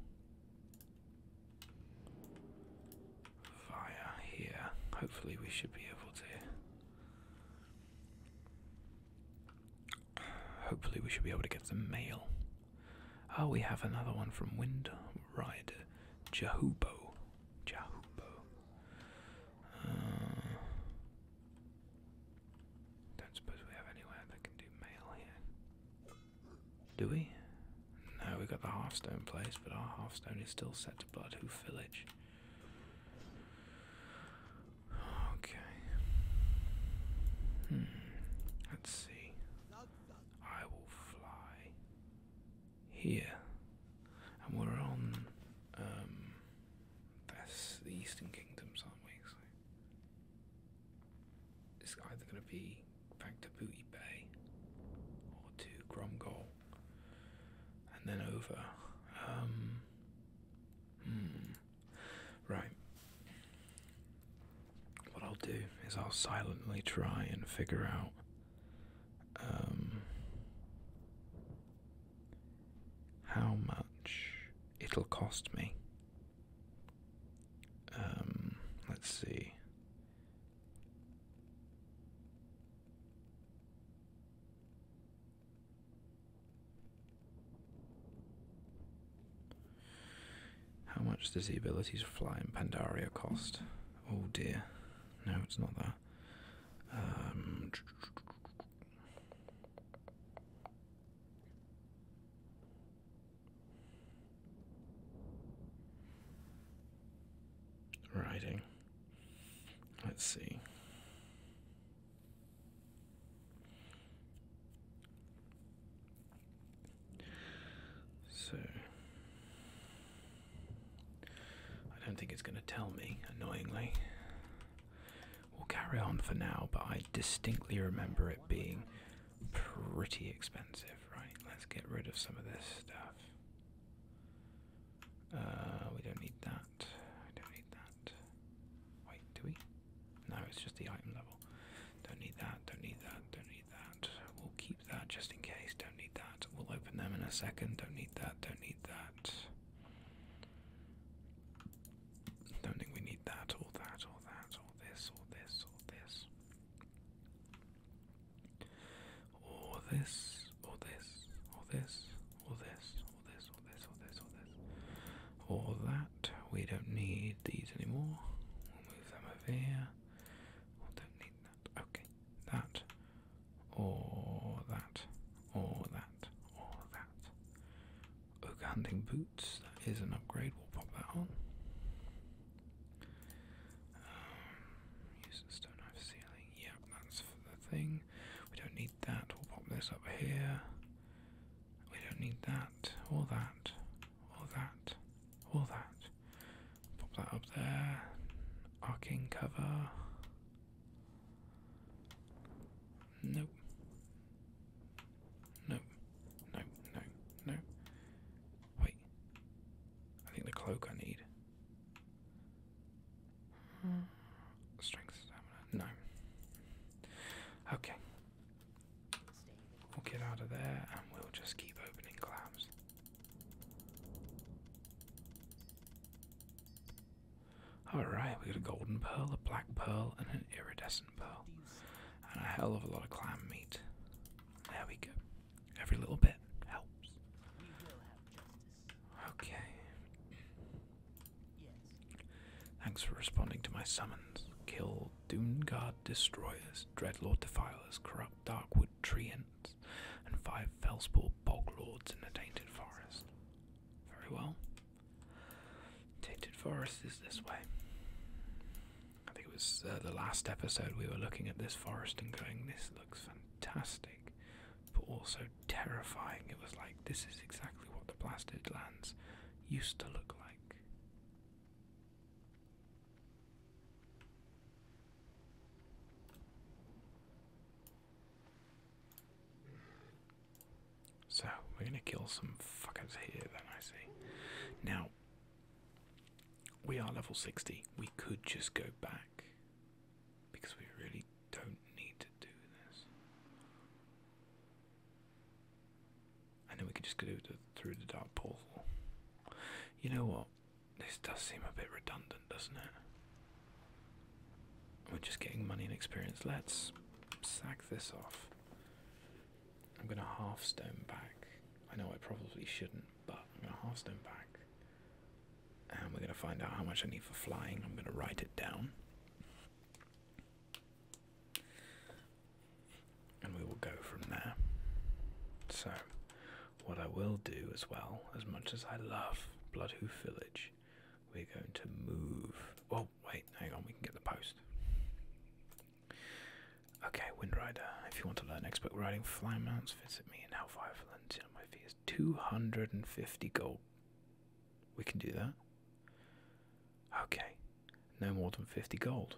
Via here. Hopefully, we should be able to. Hopefully, we should be able to get some mail. Oh, we have another one from Windride. Jahubo. Jahubo. Uh, don't suppose we have anywhere that can do mail here. Do we? No, we got the Halfstone place, but our Halfstone is still set to Bloodhoof Village. Okay. Hmm, let's see. I will fly here, and we're on. Um, that's the Eastern Kingdoms, aren't we? So it's either going to be back to Booty Bay or to Gromgol, and then over. Um, hmm. Right what I'll do is I'll silently try and figure out um, how much it'll cost me. Um, let's see. How much does the ability to fly in Pandaria cost? Oh dear. No, it's not that. Writing. Um, Let's see. So I don't think it's going to tell me, annoyingly. We'll carry on for now, but I distinctly remember it being pretty expensive, right? Let's get rid of some of this stuff. Uh, we don't need that. I don't need that. Wait, do we? No, it's just the item level. Don't need that, don't need that, don't need that. We'll keep that just in case, don't need that. We'll open them in a second, don't need that, don't need that. Don't think we need that, or that, or that, or this, or this, or this. Or this, or this, or this, or this, or this, or this, or this, or this. Or that. We don't need these anymore. We'll move them over here. I don't need that. Okay, that, or that, or that, or that. Oak hunting boots. That is an upgrade. We'll pop that on. Um, use the stone knife ceiling. Yep, that's the thing. We don't need that. We'll pop this up here. We don't need that or that all that, all that. Pop that up there. Arcing cover. Nope. Nope. No, no, no. Wait. I think the cloak I need. Hmm. Strength stamina. No. Okay. We'll get out of there and we'll just keep opening clams. Alright, we got a golden pearl, a black pearl, and an iridescent pearl. And a hell of a lot of clam meat. There we go. Every little bit helps. Okay. Thanks for responding to my summons. Killed world, destroyers, Dreadlord defilers, corrupt Darkwood treants, and five Fellspore bog lords in the Tainted Forest. Very well. Tainted Forest is this way. I think it was uh, the last episode we were looking at this forest and going, this looks fantastic, but also terrifying. It was like, this is exactly what the Blasted Lands used to look like. So, we're gonna kill some fuckers here, then I see. Now, we are level 60. We could just go back because we really don't need to do this and then we can just go through the dark portal. You know what? This does seem a bit redundant, doesn't it? We're just getting money and experience. Let's sack this off. I'm going to half stone back. I know I probably shouldn't, but I'm going to half stone back. And we're going to find out how much I need for flying. I'm going to write it down and we will go from there. So, what I will do as well, as much as I love Bloodhoof Village, we're going to move. Oh, wait, hang on, we can get the post. Okay, Windrider, if you want to learn expert riding fly mounts, visit me in Hellfire Valencia. My fee is 250 gold. We can do that. Okay, no more than 50 gold.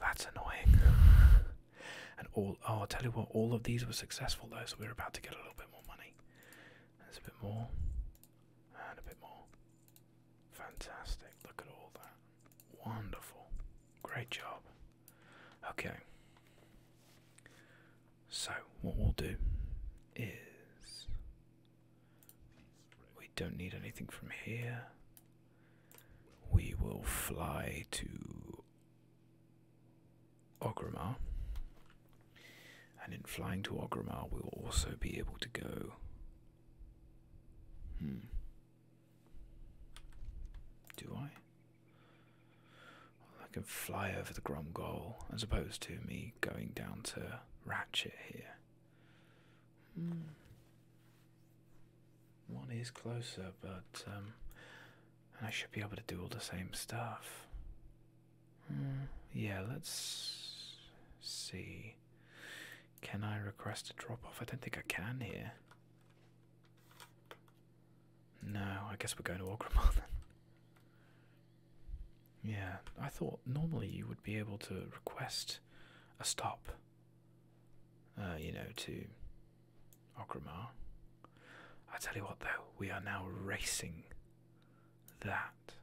That's annoying. and all oh, I'll tell you what, all of these were successful though, so we're about to get a little bit more money. There's a bit more. And a bit more. Fantastic. Look at all that. Wonderful. Great job. Okay. So, what we'll do is we don't need anything from here. We will fly to Ogrimmar. And in flying to Ogrimmar, we will also be able to go. Hmm. Do I? I can fly over the Gromgol as opposed to me going down to Ratchet here. Hmm. One is closer, but um, I should be able to do all the same stuff. Hmm. Yeah, let's see. Can I request a drop off? I don't think I can here. No, I guess we're going to Ogrimmar then. Yeah, I thought normally you would be able to request a stop, uh, you know, to Ogrimmar. I tell you what, though, we are now racing that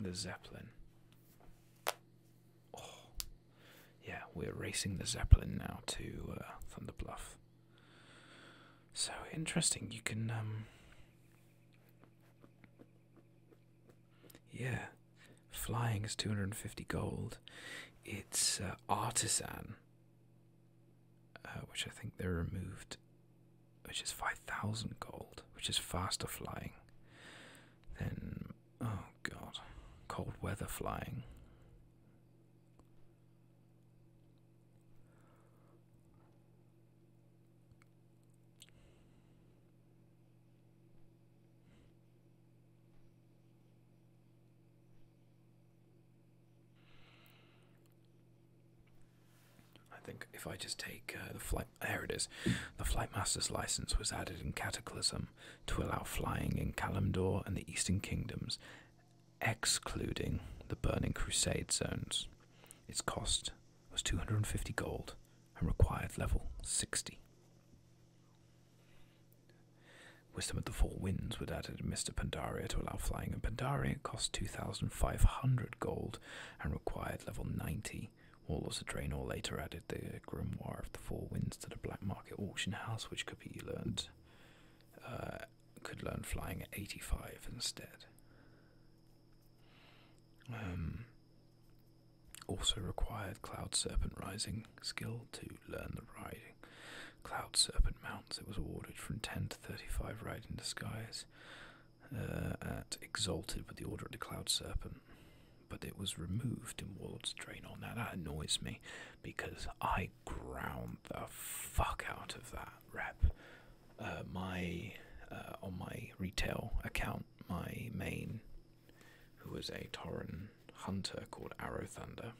the Zeppelin. Oh, yeah, we're racing the Zeppelin now to uh, Thunderbluff. So interesting. You can um, Yeah, Flying is 250 gold. It's uh, Artisan, uh, which I think they removed, which is 5,000 gold, which is faster flying. Then, oh god, cold weather flying. I think if I just take uh, the flight, there it is. The flight master's license was added in Cataclysm to allow flying in Kalimdor and the Eastern Kingdoms, excluding the Burning Crusade zones. Its cost was 250 gold and required level 60. Wisdom of the Four Winds was added Mr. Pandaria to allow flying, and Pandaria cost 2,500 gold and required level 90. Warlords of Draenor later added the Grimoire of the Four Winds to the black market auction house, which could be learned, uh, could learn flying at 85 instead. Um, also required Cloud Serpent Rising skill to learn the riding. Cloud Serpent mounts it was awarded from 10 to 35 Ride in Disguise uh, at Exalted with the Order of the Cloud Serpent, but it was removed in Warlord's Drain on that. That annoys me because I ground the fuck out of that rep. Uh, my uh, on my retail account, my main who was a Tauran hunter called Arrow Thunder.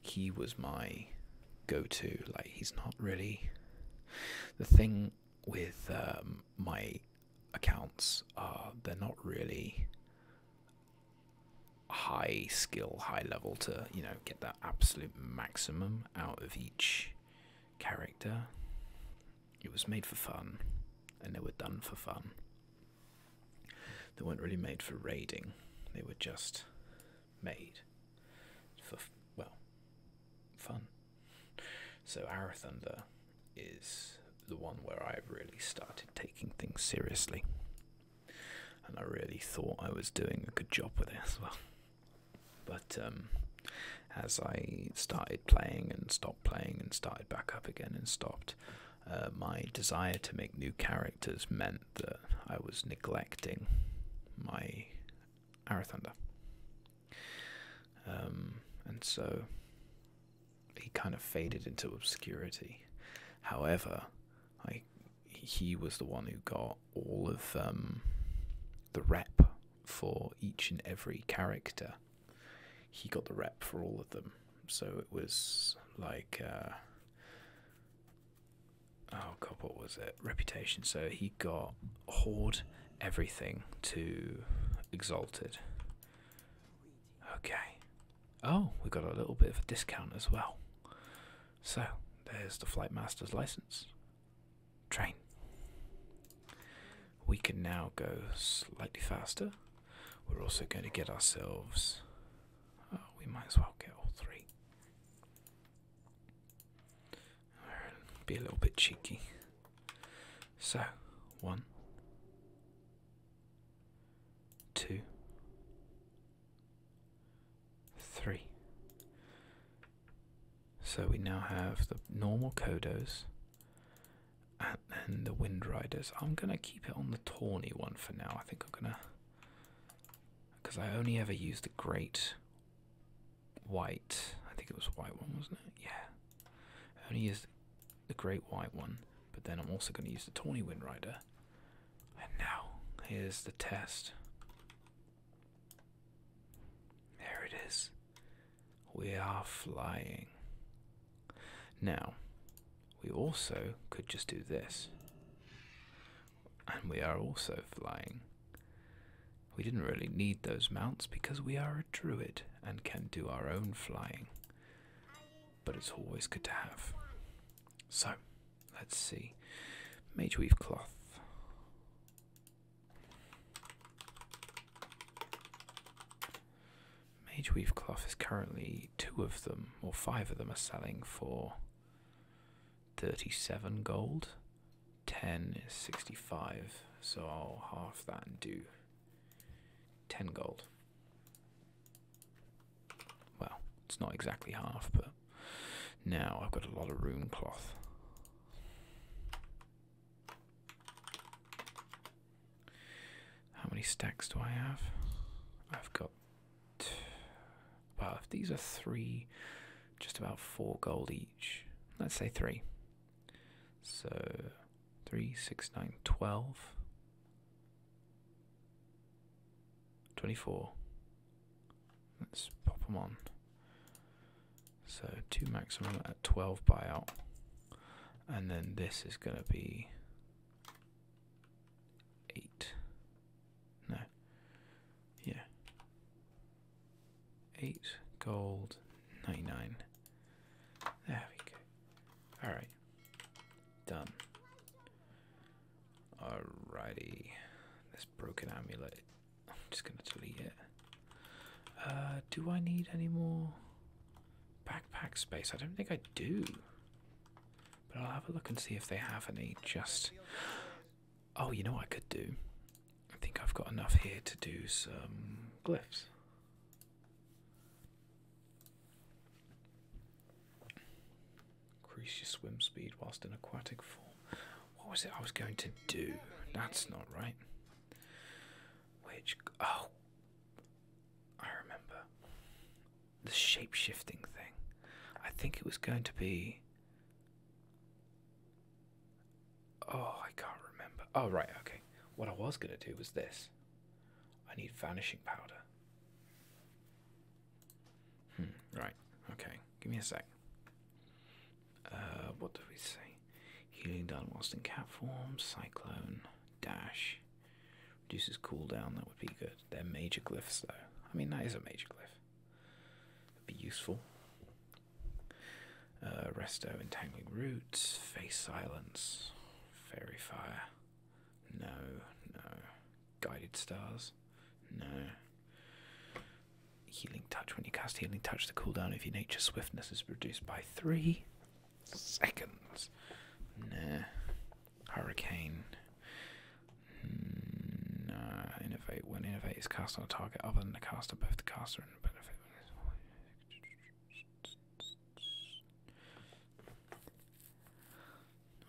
He was my go-to. Like he's not really the thing with um, my accounts are they're not really high skill, high level to you know get that absolute maximum out of each character it was made for fun, and they were done for fun. They weren't really made for raiding, they were just made for, well, fun. So, Arathunder is the one where I really started taking things seriously. And I really thought I was doing a good job with it as well. But um, as I started playing and stopped playing and started back up again and stopped, uh, my desire to make new characters meant that I was neglecting my Arrow um, and so he kind of faded into obscurity. However, he was the one who got all of um, the rep for each and every character he got the rep for all of them. So it was like, uh, oh god, what was it? Reputation. So he got hoard everything to Exalted. Okay. Oh, we got a little bit of a discount as well. So there's the Flight Master's license. Train we can now go slightly faster. We're also going to get ourselves. Oh, we might as well get all three. Be a little bit cheeky. So, one, two, three. So we now have the normal codos and then the Wind Riders. I'm gonna keep it on the tawny one for now. I think I'm gonna, because I only ever used the great white. I think it was white one, wasn't it? Yeah. I only used the great white one, but then I'm also gonna use the tawny Wind Rider. And now here's the test. There it is. We are flying. Now, we also could just do this. And we are also flying. We didn't really need those mounts because we are a druid and can do our own flying. But it's always good to have. So, let's see. Mage weave cloth. Mage weave cloth is currently two of them, or five of them, are selling for thirty-seven gold. Ten is sixty-five, so I'll half that and do ten gold. Well, it's not exactly half, but now I've got a lot of room cloth. How many stacks do I have? I've got. Well, if these are three, just about four gold each. Let's say three. So, three, six, nine, twelve. 24. Let's pop them on. So two maximum at 12 buyout. And then this is going to be 8. No. Yeah. 8 gold 99. There we go. Alright. Done. Alrighty. This broken amulet. I'm just going to delete it. Uh, do I need any more backpack space? I don't think I do. But I'll have a look and see if they have any. Just. Oh, you know what I could do? I think I've got enough here to do some glyphs. Increase your swim speed whilst in aquatic form. What was it I was going to do? That's not right. Which. Oh, I remember the shape shifting thing. I think it was going to be. Oh, I can't remember. Oh, right, okay. What I was going to do was this I need vanishing powder. Hmm, right, okay. Give me a sec. Uh, what do we see? Healing done whilst in cat form. Cyclone. Dash. Reduces cooldown. That would be good. They're major glyphs, though. I mean, that is a major glyph. would be useful. Uh, resto, entangling roots, face silence, fairy fire. No, no. Guided stars. No. Healing touch. When you cast healing touch, the cooldown of your nature swiftness is reduced by three seconds. Nah. Hurricane. Hmm, no. Innovate. When innovate is cast on a target other than the caster, both the caster and the benefit.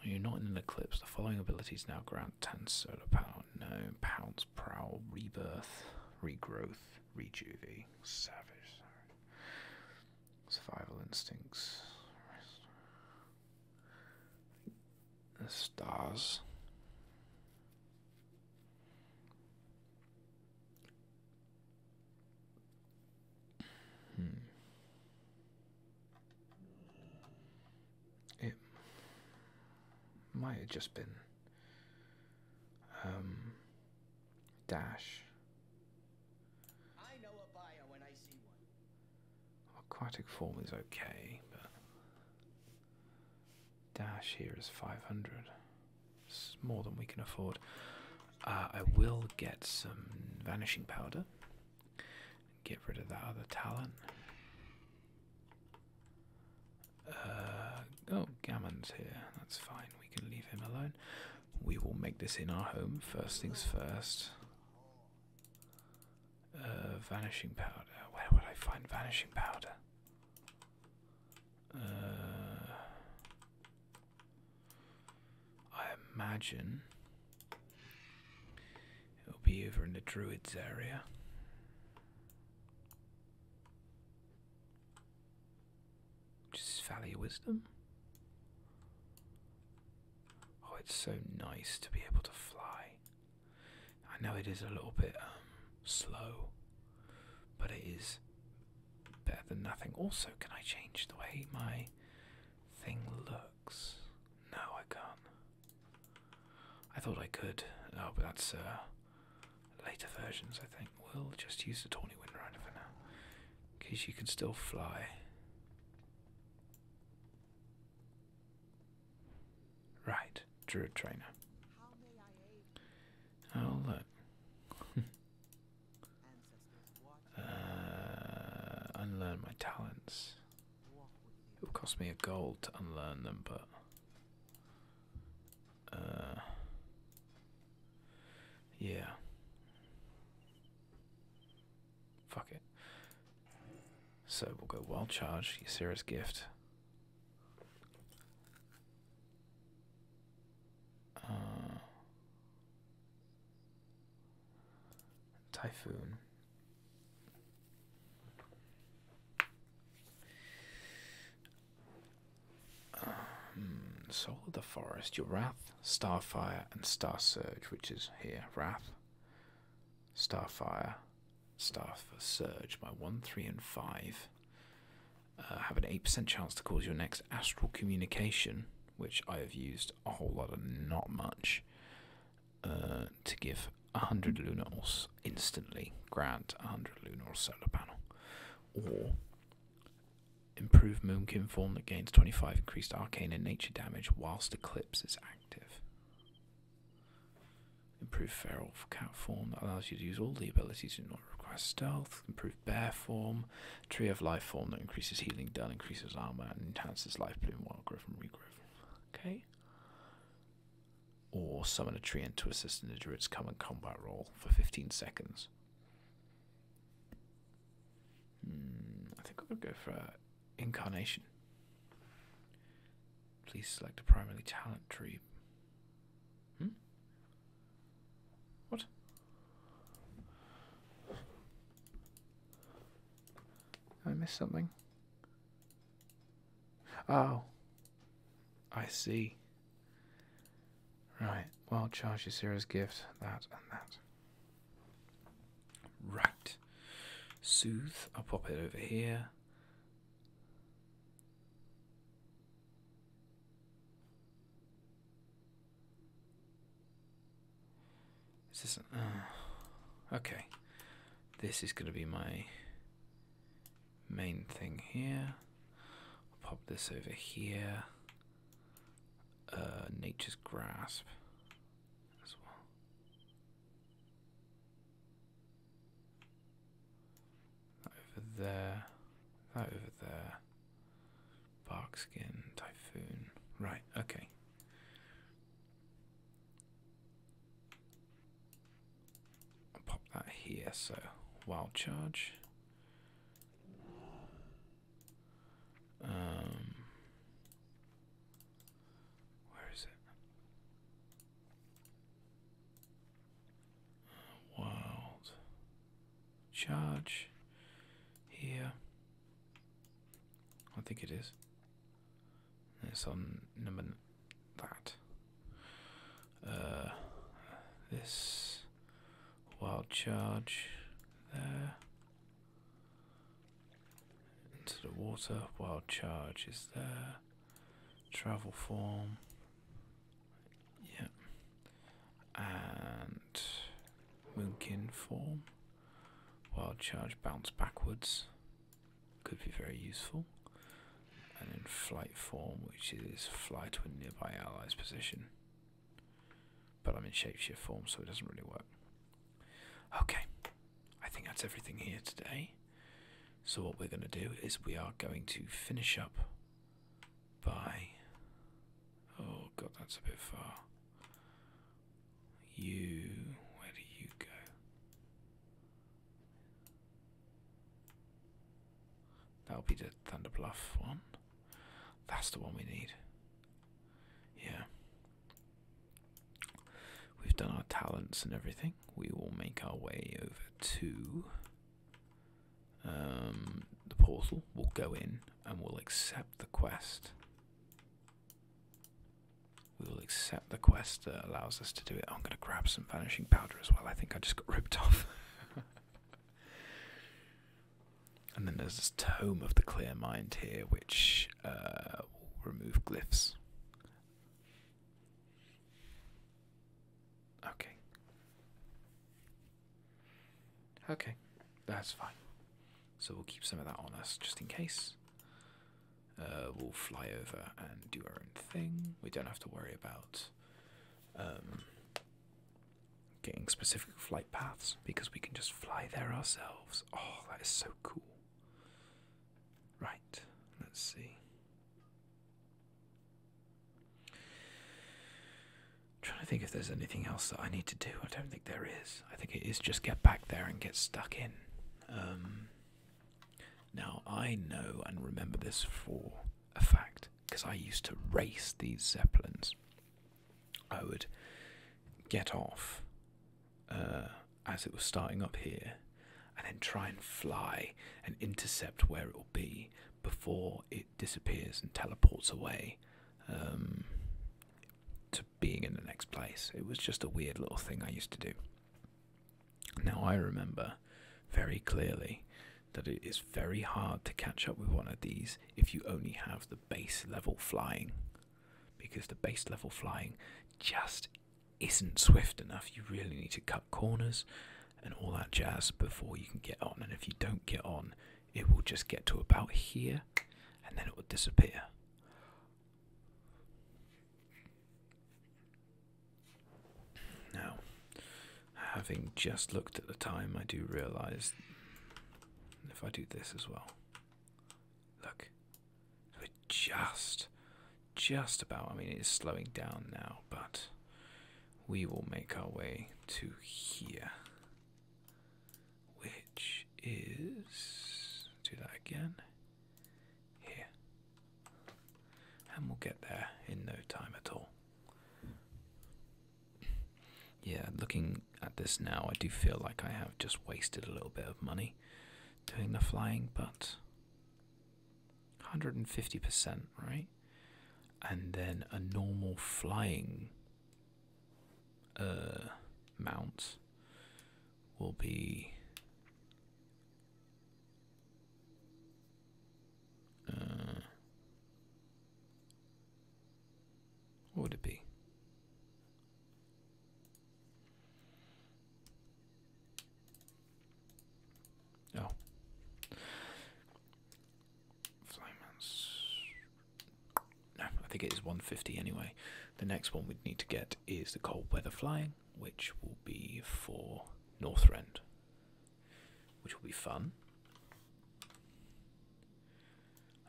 When you're not in an eclipse, the following abilities now grant 10 solar power. No. pounds. prowl, rebirth, regrowth. Rejuve. Savage. Survival instincts. stars. Hmm. It might have just been um, Dash. Aquatic form is okay, but dash here is 500. It's more than we can afford. Uh, I will get some vanishing powder. Get rid of that other talent. Uh, Oh, Gammon's here. That's fine. We can leave him alone. We will make this in our home. First things first. Uh, vanishing powder. Where would I find vanishing powder? Uh, I imagine it'll be over in the druids area. Just value Wisdom. Oh, it's so nice to be able to fly. I know it is a little bit um, slow, but it is better than nothing. Also, can I change the way my thing looks? No, I can't. I thought I could. Oh, but that's uh, Later versions, I think, will just use the Tawny Windrider for now, in case you can still fly. Right, Druid Trainer. Oh, look. Uh, unlearn my talents. It will cost me a gold to unlearn them, but uh, yeah. Fuck it. So we'll go wild charge, Ysera's gift. Uh, typhoon. Um, Soul of the Forest, your Wrath, Starfire, and Star Surge, which is here. Wrath, Starfire, Star Surge by 1, 3, and 5. Uh, have an 8% chance to cause your next astral communication, which I have used a whole lot of, not much, uh, to give 100 lunars instantly, grant 100 lunar solar panel. Or Improved Moonkin form that gains 25 increased arcane and nature damage whilst Eclipse is active. Improved Feral Cat form that allows you to use all the abilities that do not require stealth. Improved Bear form. Tree of Life form that increases healing done, increases armor, and enhances life pool while growth and regrowth. Okay. Or summon a tree into to assist in the druid's common combat roll for 15 seconds. Hmm, I think I'm go for uh, Incarnation. Please select a primary talent tree. Hmm? What? I missed something. Oh. I see. Right, well, charge you Sarah's gift, that and that. Right. Sooth. I'll pop it over here. this is uh, okay. This is going to be my main thing here pop this over here. Uh, nature's grasp That over there. over there. Bark skin, typhoon. Right, okay. pop that here, so wild charge. Um, where is it? Uh, wild charge here. I think it is. It's on number that. Uh, this Wild charge there. Into the water. Wild charge is there. Travel form. yeah, And Moonkin form. Wild charge bounce backwards. Could be very useful. And in flight form, which is fly to a nearby ally's position. But I'm in shapeshift form, so it doesn't really work. Okay, I think that's everything here today. So, what we're going to do is we are going to finish up by. Oh, God, that's a bit far. You. Where do you go? That'll be the Thunderbluff one. That's the one we need. Yeah. We've done our talents and everything. We will make our way over to um, the portal. We'll go in and we'll accept the quest. We will accept the quest that allows us to do it. I'm going to grab some vanishing powder as well. I think I just got ripped off. and then there's this Tome of the Clear Mind here, which uh, will remove glyphs. Okay. Okay, that's fine. So we'll keep some of that on us just in case. Uh, we'll fly over and do our own thing. We don't have to worry about um, getting specific flight paths because we can just fly there ourselves. Oh, that is so cool. Right, let's see. trying to think if there's anything else that I need to do. I don't think there is. I think it is just get back there and get stuck in. Um, now, I know and remember this for a fact because I used to race these Zeppelins. I would get off uh, as it was starting up here and then try and fly and intercept where it will be before it disappears and teleports away um, to being in the next place. It was just a weird little thing I used to do. Now, I remember very clearly that it is very hard to catch up with one of these if you only have the base level flying. Because the base level flying just isn't swift enough. You really need to cut corners and all that jazz before you can get on. And if you don't get on, it will just get to about here and then it will disappear. Now, Having just looked at the time, I do realize if I do this as well. Look, we're just, just about. I mean, it is slowing down now, but we will make our way to here, which is. Do that again. Here. And we'll get there in no time at all yeah, looking at this now, I do feel like I have just wasted a little bit of money doing the flying, but 150%, right? And then a normal flying uh, mount will be uh, what would it be? Oh. Flyman's. No, I think it is 150 anyway. The next one we'd need to get is the cold weather flying, which will be for Northrend which will be fun.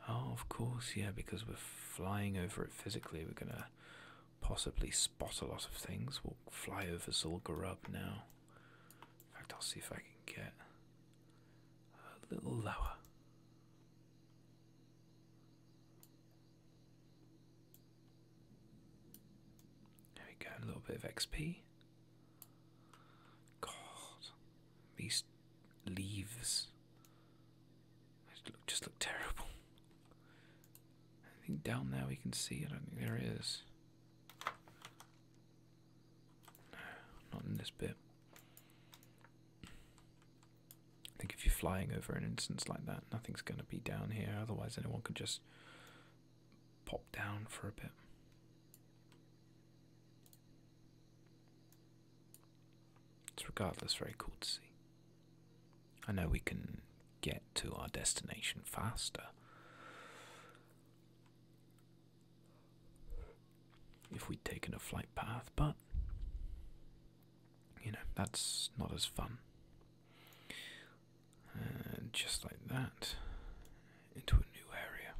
Oh, of course, yeah, because we're flying over it physically, we're going to possibly spot a lot of things. We'll fly over Zul'Gurub now. In fact, I'll see if I can get a little lower. There we go, a little bit of XP. God, these leaves just look, terrible. I think down there we can see. it. there is. No, not in this bit. I think if you're flying over an instance like that, nothing's going to be down here. Otherwise, anyone could just pop down for a bit. It's regardless very cool to see. I know we can get to our destination faster if we'd taken a flight path, but you know, that's not as fun. And just like that, into a new area.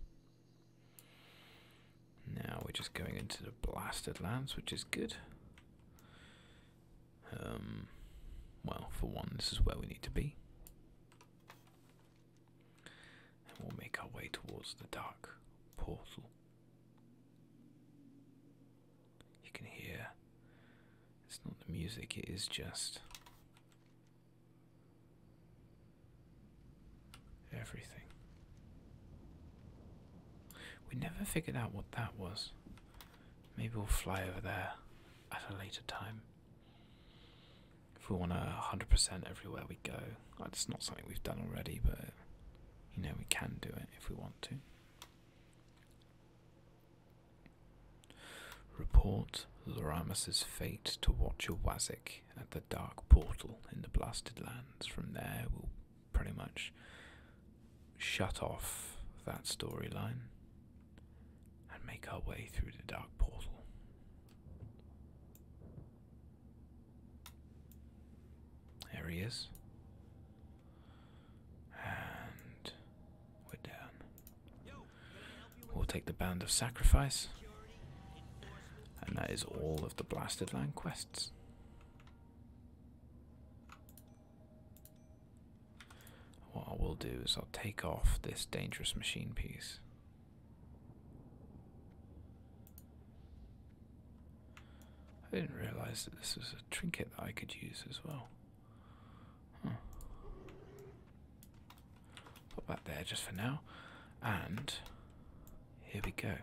Now we're just going into the blasted lands, which is good. Um, well, for one, this is where we need to be. And we'll make our way towards the dark portal. You can hear, it's not the music, it is just Everything. We never figured out what that was. Maybe we'll fly over there at a later time. If we want to 100% everywhere we go. It's not something we've done already, but you know, we can do it if we want to. Report Loramus's fate to Watcher Wazik at the dark portal in the Blasted Lands. From there, we'll pretty much shut off that storyline and make our way through the dark portal. There he is. And we down. We'll take the Band of Sacrifice. And that is all of the Blasted Land quests. What I will do is I'll take off this dangerous machine piece. I didn't realize that this was a trinket that I could use as well. Put that there just for now. And here we go.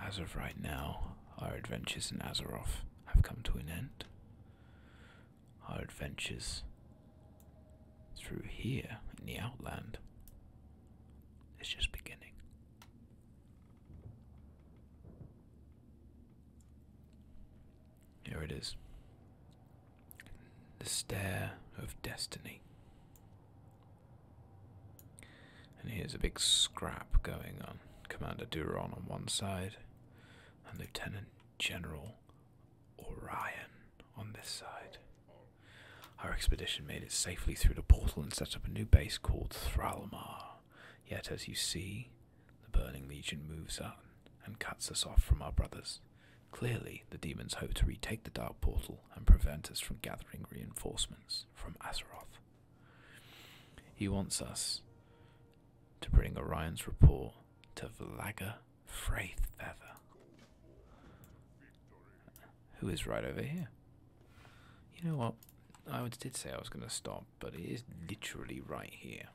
As of right now, our adventures in Azeroth have come to an end. Our adventures through here in the Outland is just beginning. Here it is. The Stair of Destiny. And here's a big scrap going on. Commander Duron on one side, and Lieutenant General Orion on this side. Our expedition made it safely through the portal and set up a new base called Thralmar. Yet, as you see, the Burning Legion moves on and cuts us off from our brothers. Clearly, the demons hope to retake the Dark Portal and prevent us from gathering reinforcements from Azeroth. He wants us to bring Orion's report to Vlaga Freyfeather, who is right over here. You know what? I did say I was going to stop, but it is literally right here.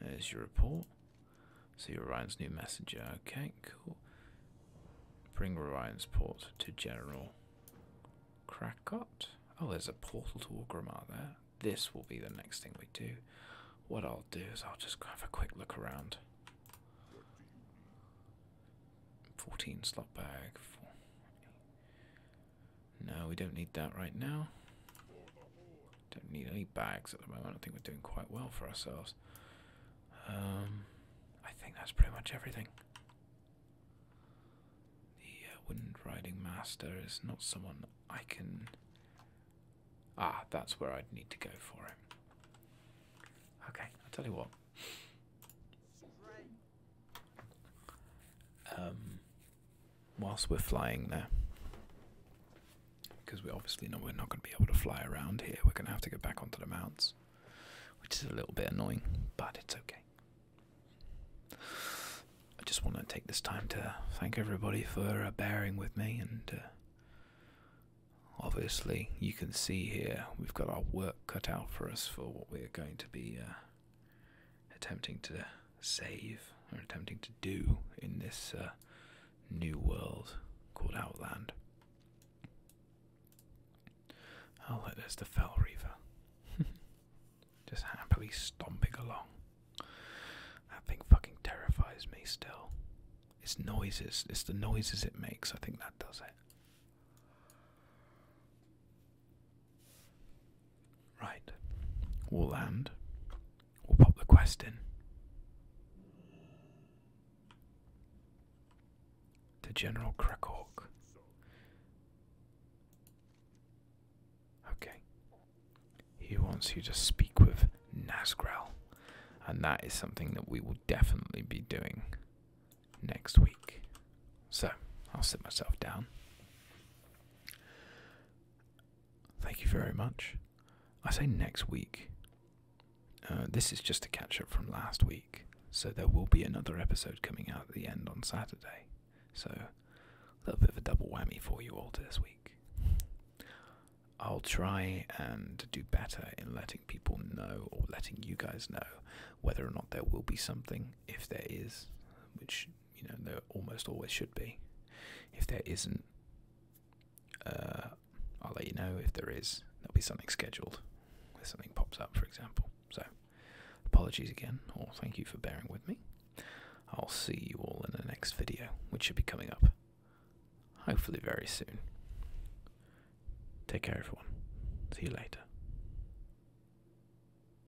There's your report. See Ryan's new messenger. Okay, cool. Bring Ryan's port to General Krakot. Oh, there's a portal to Orgrimmar there. This will be the next thing we do. What I'll do is I'll just have a quick look around. 14 slot bag. No, we don't need that right now. Don't need any bags at the moment. I think we're doing quite well for ourselves. Um, I think that's pretty much everything. The uh, Wind Riding Master is not someone I can. Ah, that's where I'd need to go for him. Okay, I'll tell you what. Um, whilst we're flying there. Because we obviously know we're not going to be able to fly around here. We're going to have to go back onto the mounts, which is a little bit annoying, but it's okay. I just want to take this time to thank everybody for uh, bearing with me, and uh, obviously, you can see here we've got our work cut out for us for what we're going to be uh, attempting to save or attempting to do in this uh, new world called Outland. Oh, there's the Fell Just happily stomping along. That thing fucking terrifies me still. It's noises, it's the noises it makes. I think that does it. Right, we We'll pop the quest in. To General Krakok. Okay. He wants you to speak with Nasgral, and that is something that we will definitely be doing next week. So, I'll sit myself down. Thank you very much. I say next week. Uh, this is just a catch up from last week, so there will be another episode coming out at the end on Saturday. So, a little bit of a double whammy for you all this week. I'll try and do better in letting people know or letting you guys know whether or not there will be something. If there is, which you know there almost always should be. If there isn't, uh, I'll let you know. If there is, there'll be something scheduled. If something pops up, for example. So, apologies again, or thank you for bearing with me. I'll see you all in the next video, which should be coming up hopefully very soon. Take care, everyone. See you later.